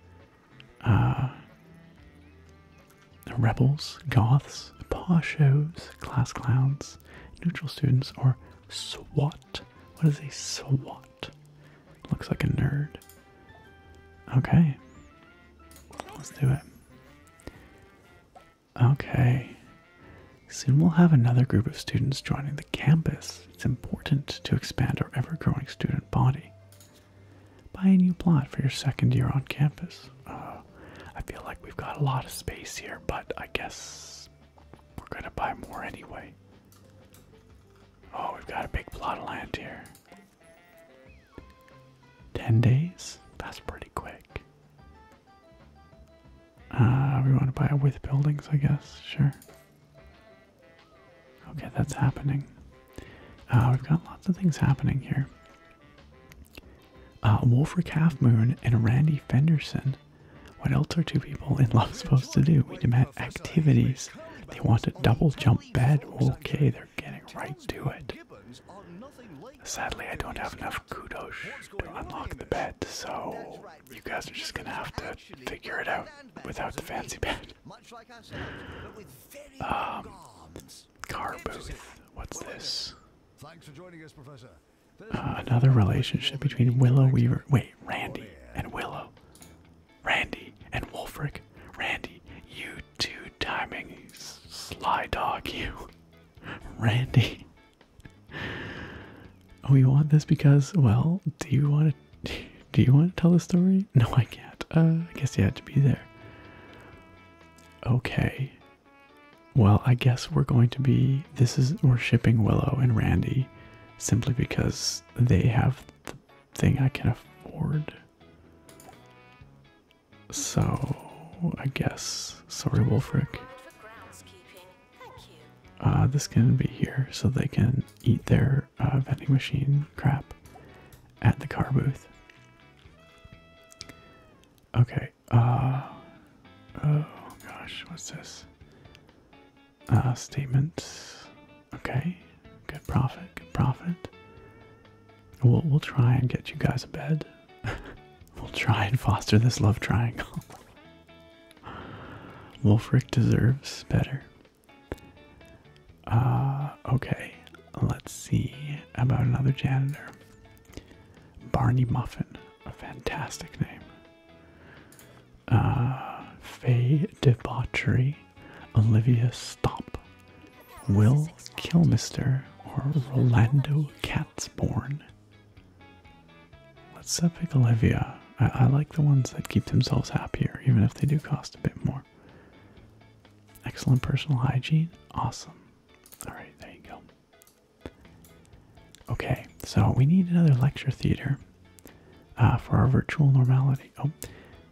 Uh, rebels, goths, paw class clowns, neutral students, or SWAT. What is a SWAT? Looks like a nerd. Okay. Let's do it. Okay. Soon we'll have another group of students joining the campus. It's important to expand our ever growing student body. Buy a new plot for your second year on campus. Uh, I feel like we've got a lot of space here, but I guess we're going to buy more anyway. Oh, we've got a big plot of land here. 10 days? That's pretty quick. Uh, we want to buy it with buildings, I guess. Sure. Okay, that's happening. Uh, we've got lots of things happening here. Uh, Wolfer Calf Moon and Randy Fenderson. What else are two people in love supposed to do? We demand activities. They want a double jump bed. Okay, they're getting right to it. Sadly, I don't have enough kudos to unlock the bed, so you guys are just gonna have to figure it out without the fancy bed much like ourselves, but with very um, arms. Car booth. What's this? Thanks for joining us, Professor. Uh, another relationship between Willow Weaver. Wait, Randy and Willow. Randy and Wolfric. Randy, you two timing sly dog, you. Randy. We oh, want this because, well, do you want it? Do you want to tell the story? No, I can't. Uh, I guess you had to be there. Okay. Well, I guess we're going to be. This is. We're shipping Willow and Randy simply because they have the thing I can afford. So, I guess. Sorry, Wolfric. Uh, this can be here so they can eat their uh, vending machine crap at the car booth. Okay, uh, oh gosh, what's this? Uh, statement. Okay, good profit, good profit. We'll, we'll try and get you guys a bed. we'll try and foster this love triangle. Wolfric deserves better. Uh, okay, let's see about another janitor. Barney Muffin, a fantastic name. Uh, Faye Debauchery, Olivia Stomp, Will Kilmister, or Rolando Katzborn. Let's uh, pick Olivia. I like the ones that keep themselves happier, even if they do cost a bit more. Excellent personal hygiene. Awesome. All right, there you go. Okay, so we need another lecture theater uh, for our virtual normality. Oh,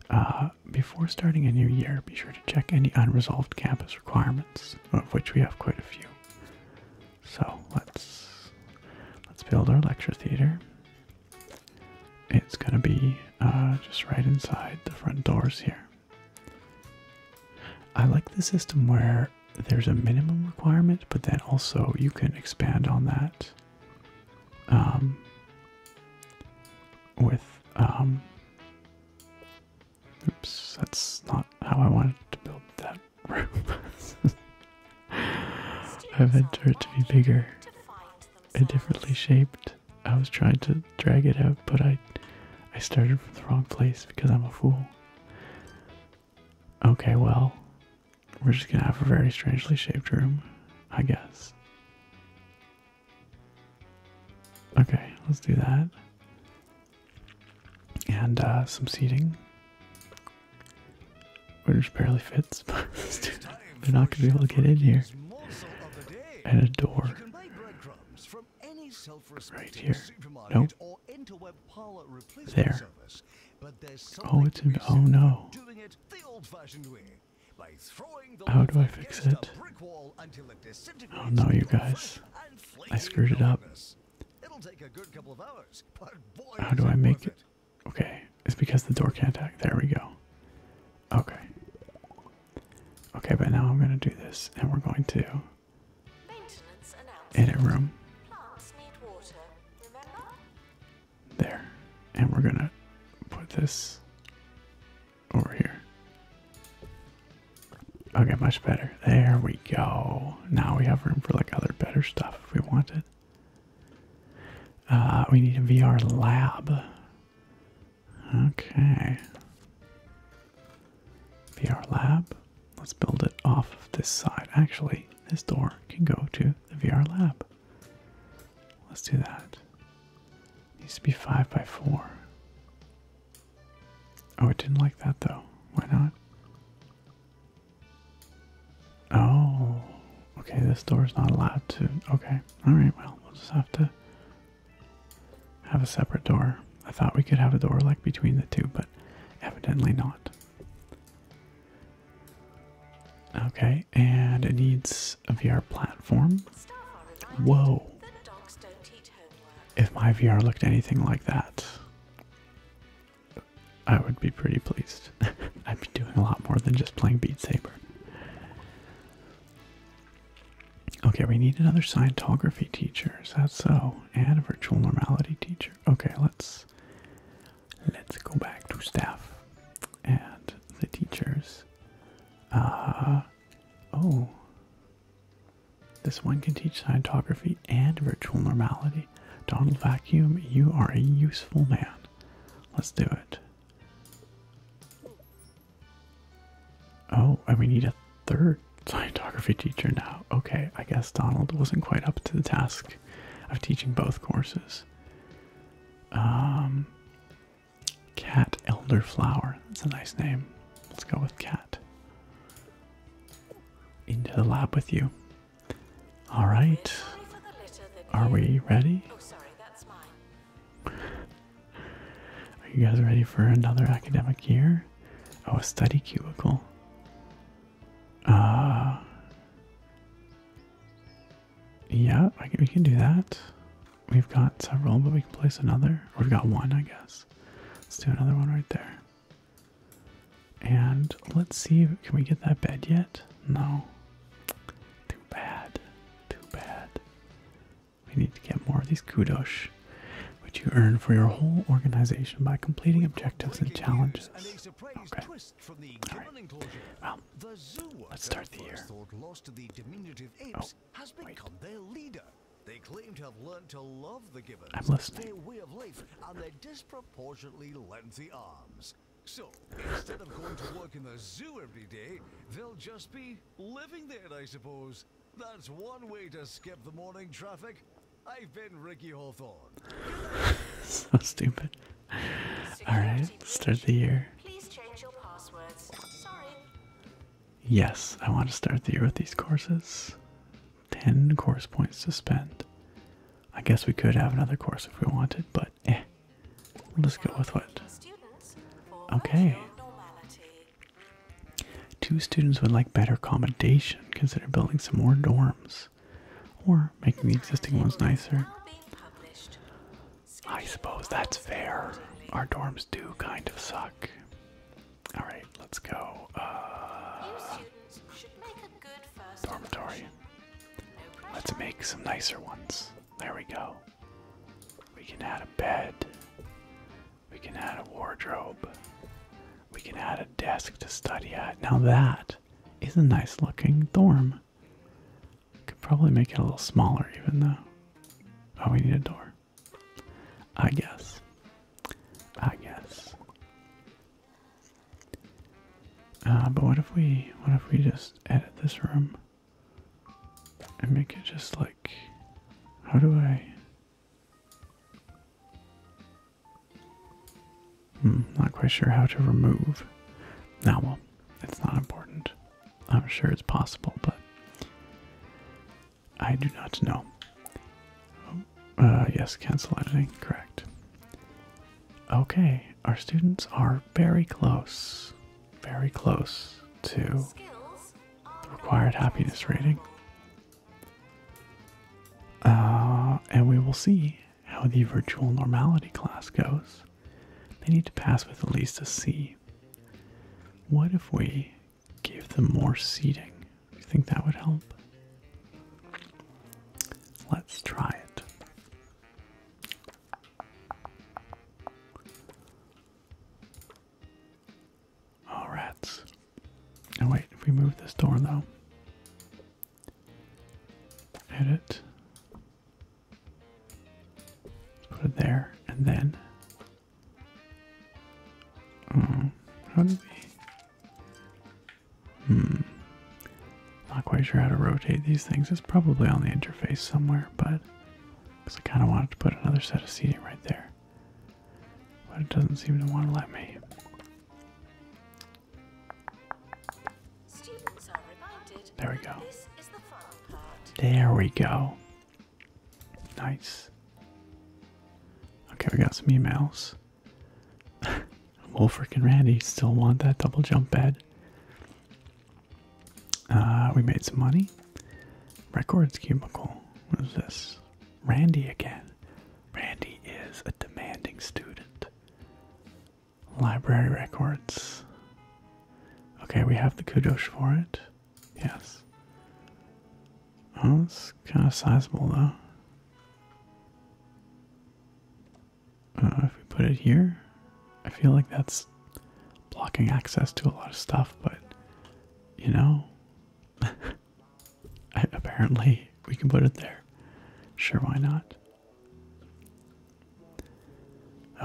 uh, before starting a new year, be sure to check any unresolved campus requirements, of which we have quite a few. So let's let's build our lecture theater it's going to be uh, just right inside the front doors here. I like the system where there's a minimum requirement, but then also you can expand on that um, with. Um, oops, that's not how I wanted to build that room. I wanted it to be bigger. A differently shaped. I was trying to drag it out, but I I started from the wrong place because I'm a fool. Okay, well, we're just gonna have a very strangely shaped room, I guess. Okay, let's do that. And uh, some seating. Which barely fits, but let's do that. They're not going to be able to get in here. And a door right here. Nope. There. Oh, it's in. Oh no. How do I fix it? Oh no, you guys. I screwed it up. How do I make it? Okay. It's because the door can't act. There we go. Okay. Okay, but now I'm going to do this, and we're going to Maintenance edit room. There. And we're going to put this over here. Okay, much better. There we go. Now we have room for like other better stuff if we wanted. Uh, we need a VR lab. Okay. VR lab. Let's build it off of this side. Actually, this door can go to the VR lab. Let's do that. needs to be five by four. Oh, it didn't like that though. Why not? Oh, okay. This door is not allowed to. Okay. All right. Well, we'll just have to have a separate door. I thought we could have a door like between the two, but evidently not. Okay, and it needs a VR platform. Whoa. If my VR looked anything like that, I would be pretty pleased. I'd be doing a lot more than just playing Beat Saber. Okay, we need another Scientography teacher. Is that so? And a virtual normality teacher. Okay, let's let's go back to staff and the teachers. Uh oh. This one can teach Scientography and virtual normality. Donald Vacuum, you are a useful man. Let's do it. Oh, and we need a third Scientography teacher now. Okay, I guess Donald wasn't quite up to the task of teaching both courses. Um, Cat Elderflower. That's a nice name. Let's go with Cat. Into the lab with you. All right. Are we ready? Oh, are you guys ready for another academic year? Oh, a study cubicle. Uh yeah, we can do that. We've got several, but we can place another. We've got one, I guess. Let's do another one right there. And let's see, can we get that bed yet? No. Too bad. Too bad. We need to get more of these kudos, which you earn for your whole organization by completing objectives and challenges. Okay. All right. Well, let's start the year. Oh, They claim to have learned to love the givers, I'm listening. and their disproportionately lengthy arms. So, instead of going to work in the zoo every day, they'll just be living there, I suppose that's one way to skip the morning traffic. I've been Ricky Hawthorne. so stupid. Alright, start the year. Yes, I want to start the year with these courses. 10 course points to spend. I guess we could have another course if we wanted, but eh. We'll just go with what. Okay. Two students would like better accommodation, consider building some more dorms or making the existing ones nicer. I suppose that's fair. Our dorms do kind of suck. All right, let's go. Uh, dormitory. Let's make some nicer ones. There we go. We can add a bed. We can add a wardrobe. We can add a desk to study at. Now that is a nice looking dorm. Could probably make it a little smaller even though. Oh, we need a door. I guess. I guess. Uh, but what if we, what if we just edit this room and make it just like how do I? Hmm, not quite sure how to remove. Now, well, it's not important. I'm sure it's possible, but I do not know. Oh, uh, yes, cancel editing, correct. Okay, our students are very close, very close to the Required happiness rating. Uh, and we will see how the virtual normality class goes. They need to pass with at least a C. What if we give them more seating? Do you think that would help? Let's try it. Oh, rats. Oh, wait, if we move this door, though. Edit. Put it there, and then. Oh, how did we. Hmm. Not quite sure how to rotate these things. It's probably on the interface somewhere, but. Because I kind of wanted to put another set of seating right there. But it doesn't seem to want to let me. there we go. There we go. Nice. Okay, we got some emails. Wolfric and Randy still want that double jump bed. Uh, we made some money. Records cubicle. What is this? Randy again. Randy is a demanding student. Library records. Okay, we have the kudos for it. Yes. Oh, it's kind of sizable though. Uh, if we put it here, I feel like that's blocking access to a lot of stuff, but you know, Apparently, we can put it there. Sure, why not?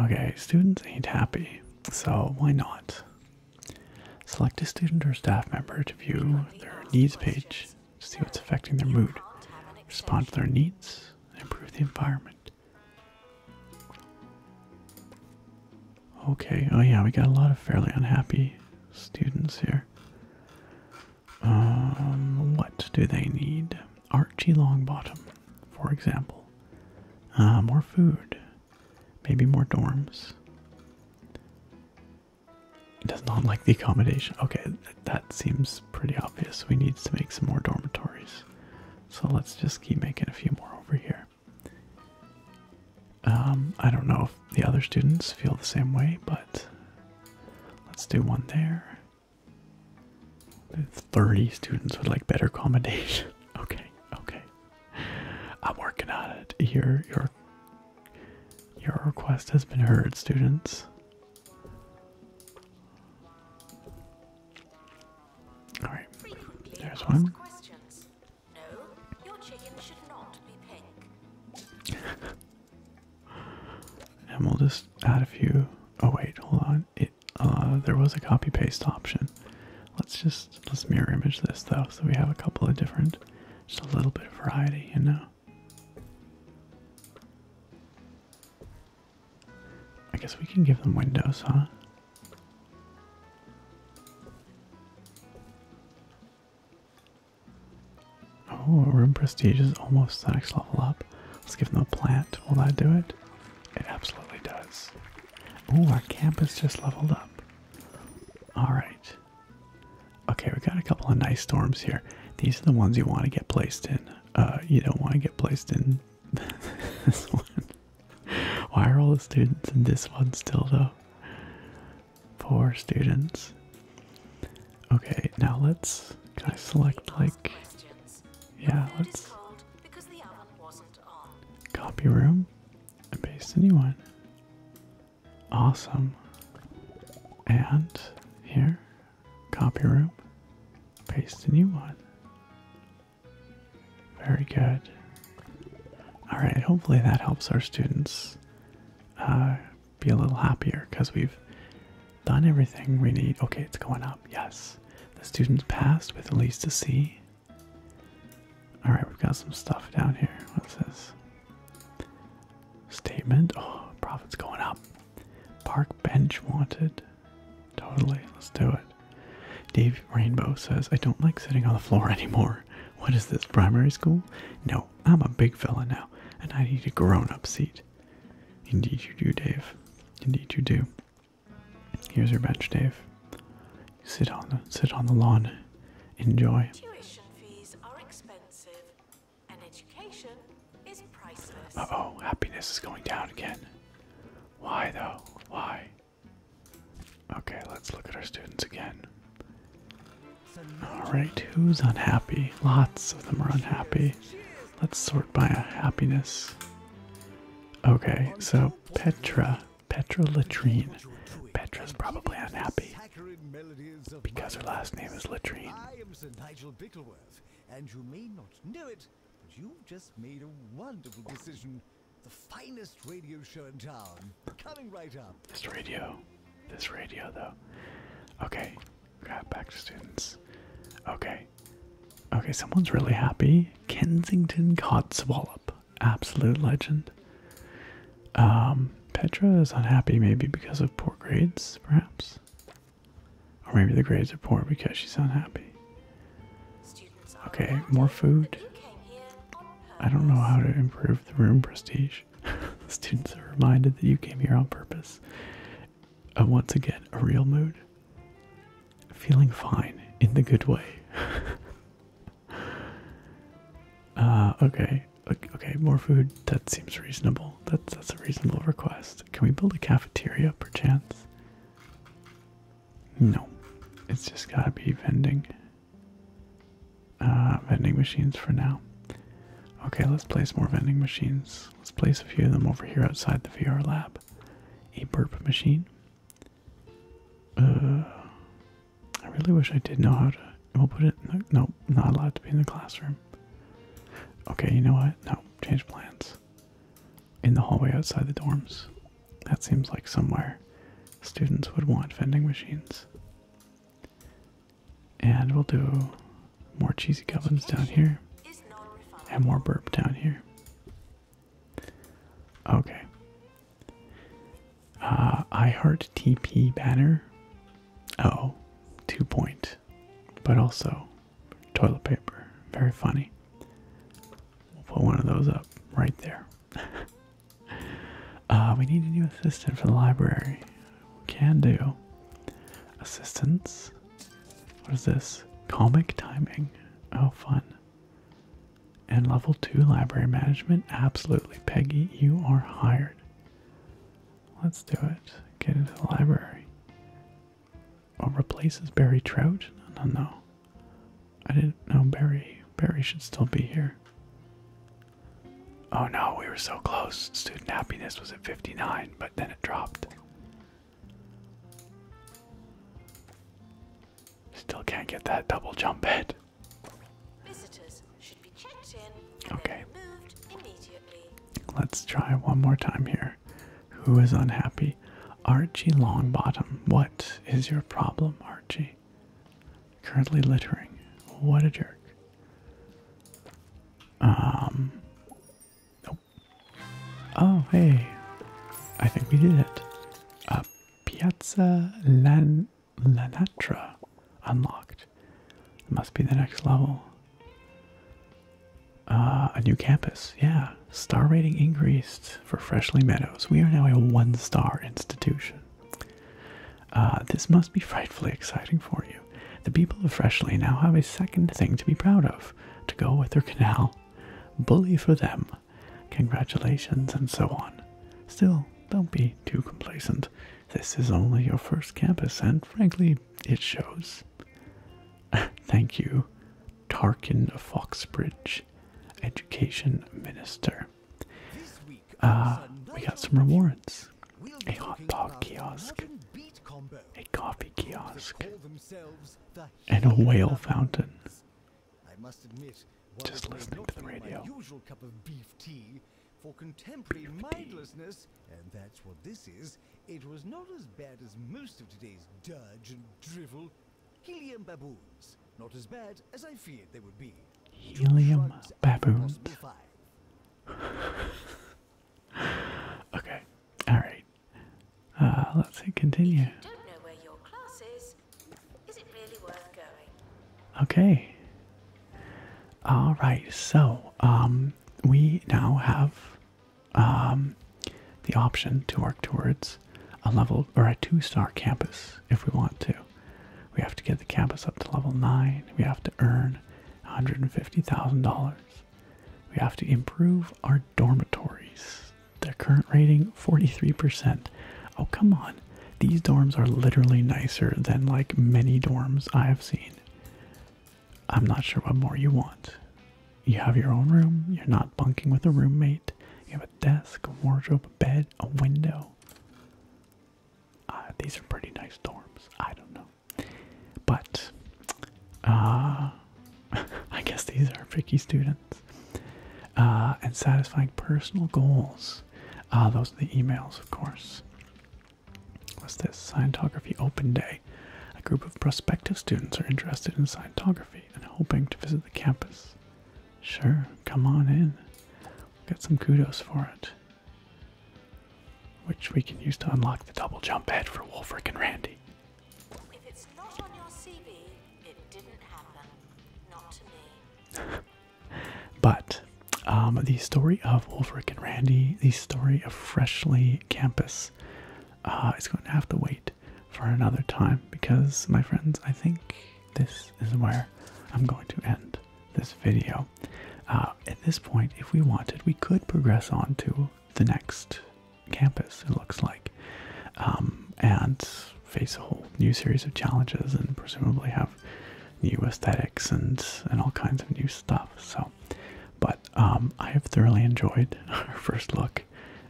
Okay, students ain't happy, so why not? Select a student or staff member to view their needs page see what's affecting their mood, respond to their needs, improve the environment. Okay, oh yeah, we got a lot of fairly unhappy students here. Um, what do they need? Archie Longbottom, for example. Uh, more food. Maybe more dorms. It does not like the accommodation. Okay, that seems pretty obvious. We need to make some more dormitories. So let's just keep making a few more over here. Um, I don't know if the other students feel the same way, but let's do one there. 30 students would like better accommodation. okay, okay. I'm working on it. Your your your request has been heard, students. All right. There's one. No, your chicken should not be pink. and we'll just add a few. Oh wait, hold on. It uh, there was a copy paste option. Let's just let's mirror image this though, so we have a couple of different, just a little bit of variety, you know. I guess we can give them windows, huh? Oh, room prestige is almost the next level up. Let's give them a plant. Will that do it? It absolutely does. Oh, our camp campus just leveled up. Alright. Okay, we got a couple of nice storms here. These are the ones you want to get placed in. Uh, you don't want to get placed in this one. Why are all the students in this one still though? Four students. Okay, now let's. Can I select like? Yeah, let's. Copy room and paste anyone. Awesome. And here, copy room, paste a new one. Very good. All right, hopefully that helps our students uh, be a little happier because we've done everything we need. Okay, it's going up. Yes. The students passed with at least a C. All right, we've got some stuff down here. What's this? Statement. Oh, profits going up. Park bench wanted. Totally. Let's do it. Dave Rainbow says, I don't like sitting on the floor anymore. What is this, primary school? No, I'm a big fella now, and I need a grown up seat. Indeed, you do, Dave. Indeed, you do. Here's your bench, Dave. Sit on the sit on the lawn. Enjoy. Uh oh, happiness is going down again. Why though? Why? Okay, let's look at our students again. Alright, who's unhappy? Lots of them are unhappy. Let's sort by happiness. Okay, so Petra, Petra Latrine. Petra's probably unhappy because her last name is Latrine. and you may not know it, but you've just made a wonderful decision the finest radio show in town. Coming right up. This radio. This radio, though. Okay. Grab back to students. Okay. Okay, someone's really happy. Kensington Codswallop. Absolute legend. Um, Petra is unhappy maybe because of poor grades, perhaps. Or maybe the grades are poor because she's unhappy. Okay, more food. I don't know how to improve the room prestige. the students are reminded that you came here on purpose. I want to get a real mood. Feeling fine in the good way. uh, okay, okay, more food. That seems reasonable. That's that's a reasonable request. Can we build a cafeteria, perchance? No, it's just gotta be vending. Uh, vending machines for now. Okay, let's place more vending machines. Let's place a few of them over here outside the VR lab. A burp machine. Uh, I really wish I did know how to. We'll put it. no, not allowed to be in the classroom. Okay, you know what? No, change plans. In the hallway outside the dorms. That seems like somewhere students would want vending machines. And we'll do more cheesy goblins down here and more burp down here. Okay. Uh, I heart TP banner. Oh, two point. But also toilet paper. Very funny. We'll put one of those up right there. Uh, we need a new assistant for the library. We can do. Assistance? What is this? Comic timing. Oh, fun. And level 2 library management? Absolutely. Peggy, you are hired. Let's do it. Get into the library. Or replaces Barry Trout? No, no, no. I didn't know Barry. Barry should still be here. Oh no, we were so close. Student happiness was at 59, but then it dropped. Still can't get that double jump head. Visitors should be checked in and okay. removed immediately. Let's try one more time here. Who is unhappy? Archie Longbottom. What is your problem, Archie? Currently littering. What a jerk. Um. Oh. Oh, hey. I think we did it. Uh, Piazza Lan Lanatra unlocked. must be the next level. Uh, a new campus, yeah. Star rating increased for Freshly Meadows. We are now a one star institution. Uh, this must be frightfully exciting for you. The people of Freshly now have a second thing to be proud of to go with their canal. Bully for them. Congratulations, and so on. Still, don't be too complacent. This is only your first campus, and frankly, it shows. Thank you, Tarkin Foxbridge, Education Minister. Uh, we got some rewards a hot dog kiosk, a coffee kiosk, and a whale fountain. Just listening to the radio. For contemporary mindlessness, and that's what this is, it was not as bad as most of today's dirge and drivel. Helium baboons. Not as bad as I feared they would be. Helium baboons. okay, alright. Uh, let's continue. Okay. Alright, so, um, we now have, um, the option to work towards a level or a two star campus if we want to. We have to get the campus up to level 9. We have to earn $150,000. We have to improve our dormitories. Their current rating 43%. Oh, come on. These dorms are literally nicer than like many dorms I have seen. I'm not sure what more you want. You have your own room, you're not bunking with a roommate, you have a desk, a wardrobe, a bed, a window. Uh, these are pretty nice dorms. I don't know. But, uh, I guess these are picky students. Uh, and satisfying personal goals. those are the emails, of course. What's this? Scientography Open Day. A group of prospective students are interested in Scientography and hoping to visit the campus. Sure, come on in. We'll get some kudos for it which we can use to unlock the double jump head for Wolfric and Randy. but um, the story of Wolfric and Randy, the story of Freshly Campus, uh, is going to have to wait for another time because, my friends, I think this is where I'm going to end this video. Uh, at this point, if we wanted, we could progress on to the next campus, it looks like, um, and face a whole new series of challenges and presumably have new aesthetics and, and all kinds of new stuff. So, but um, I have thoroughly enjoyed our first look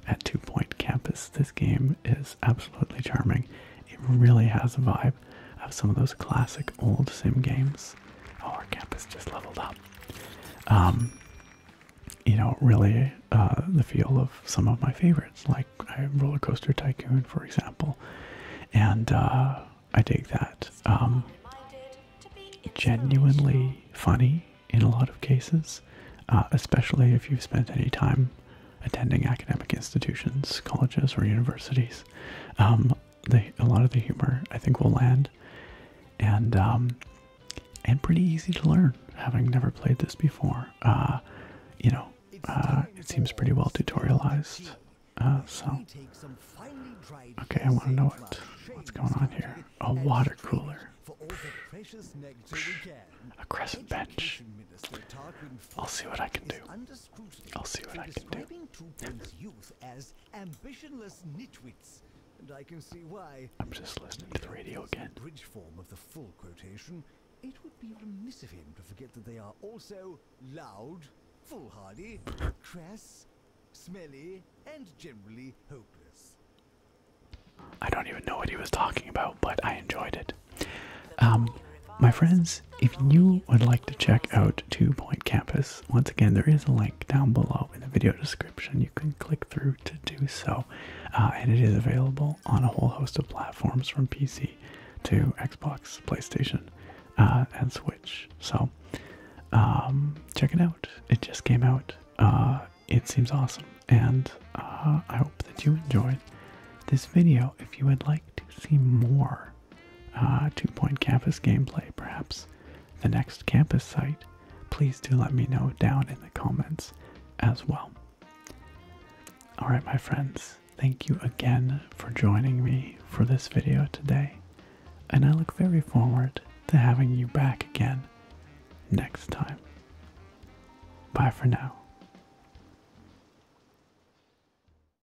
at Two Point Campus. This game is absolutely charming. It really has a vibe of some of those classic old sim games. Oh, our campus just leveled up. Um, you know, really uh, the feel of some of my favorites, like uh, Roller Coaster Tycoon, for example. And uh, I take that. Um, genuinely funny in a lot of cases, especially if you've spent any time attending academic institutions, colleges, or universities. Um, a lot of the humor I think will land, and um, and pretty easy to learn. Having never played this before, uh, you know, uh, it seems pretty well tutorialized. Uh, so, okay, I want to know what what's going on here. A water cooler. a crescent bench. I'll see what I can do rigorous scrutiny I'll see what I can do. youth as ambitionless nitwits, and I can see why. I'm just listening to the radio again. bridge form of the full quotation. It would be remiss of him to forget that they are also loud, foolhardy, crass, smelly, and generally hopeless. I don't even know what he was talking about, but I enjoyed it. Um, my friends, if you would like to check out Two Point Campus, once again, there is a link down below in the video description. You can click through to do so, uh, and it is available on a whole host of platforms from PC to Xbox, PlayStation, uh, and Switch. So, um, check it out. It just came out. Uh, it seems awesome, and I hope that you enjoyed this video. If you would like to see more uh, Two Point Campus gameplay, perhaps the next campus site, please do let me know down in the comments as well. Alright, my friends, thank you again for joining me for this video today, and I look very forward to having you back again next time. Bye for now.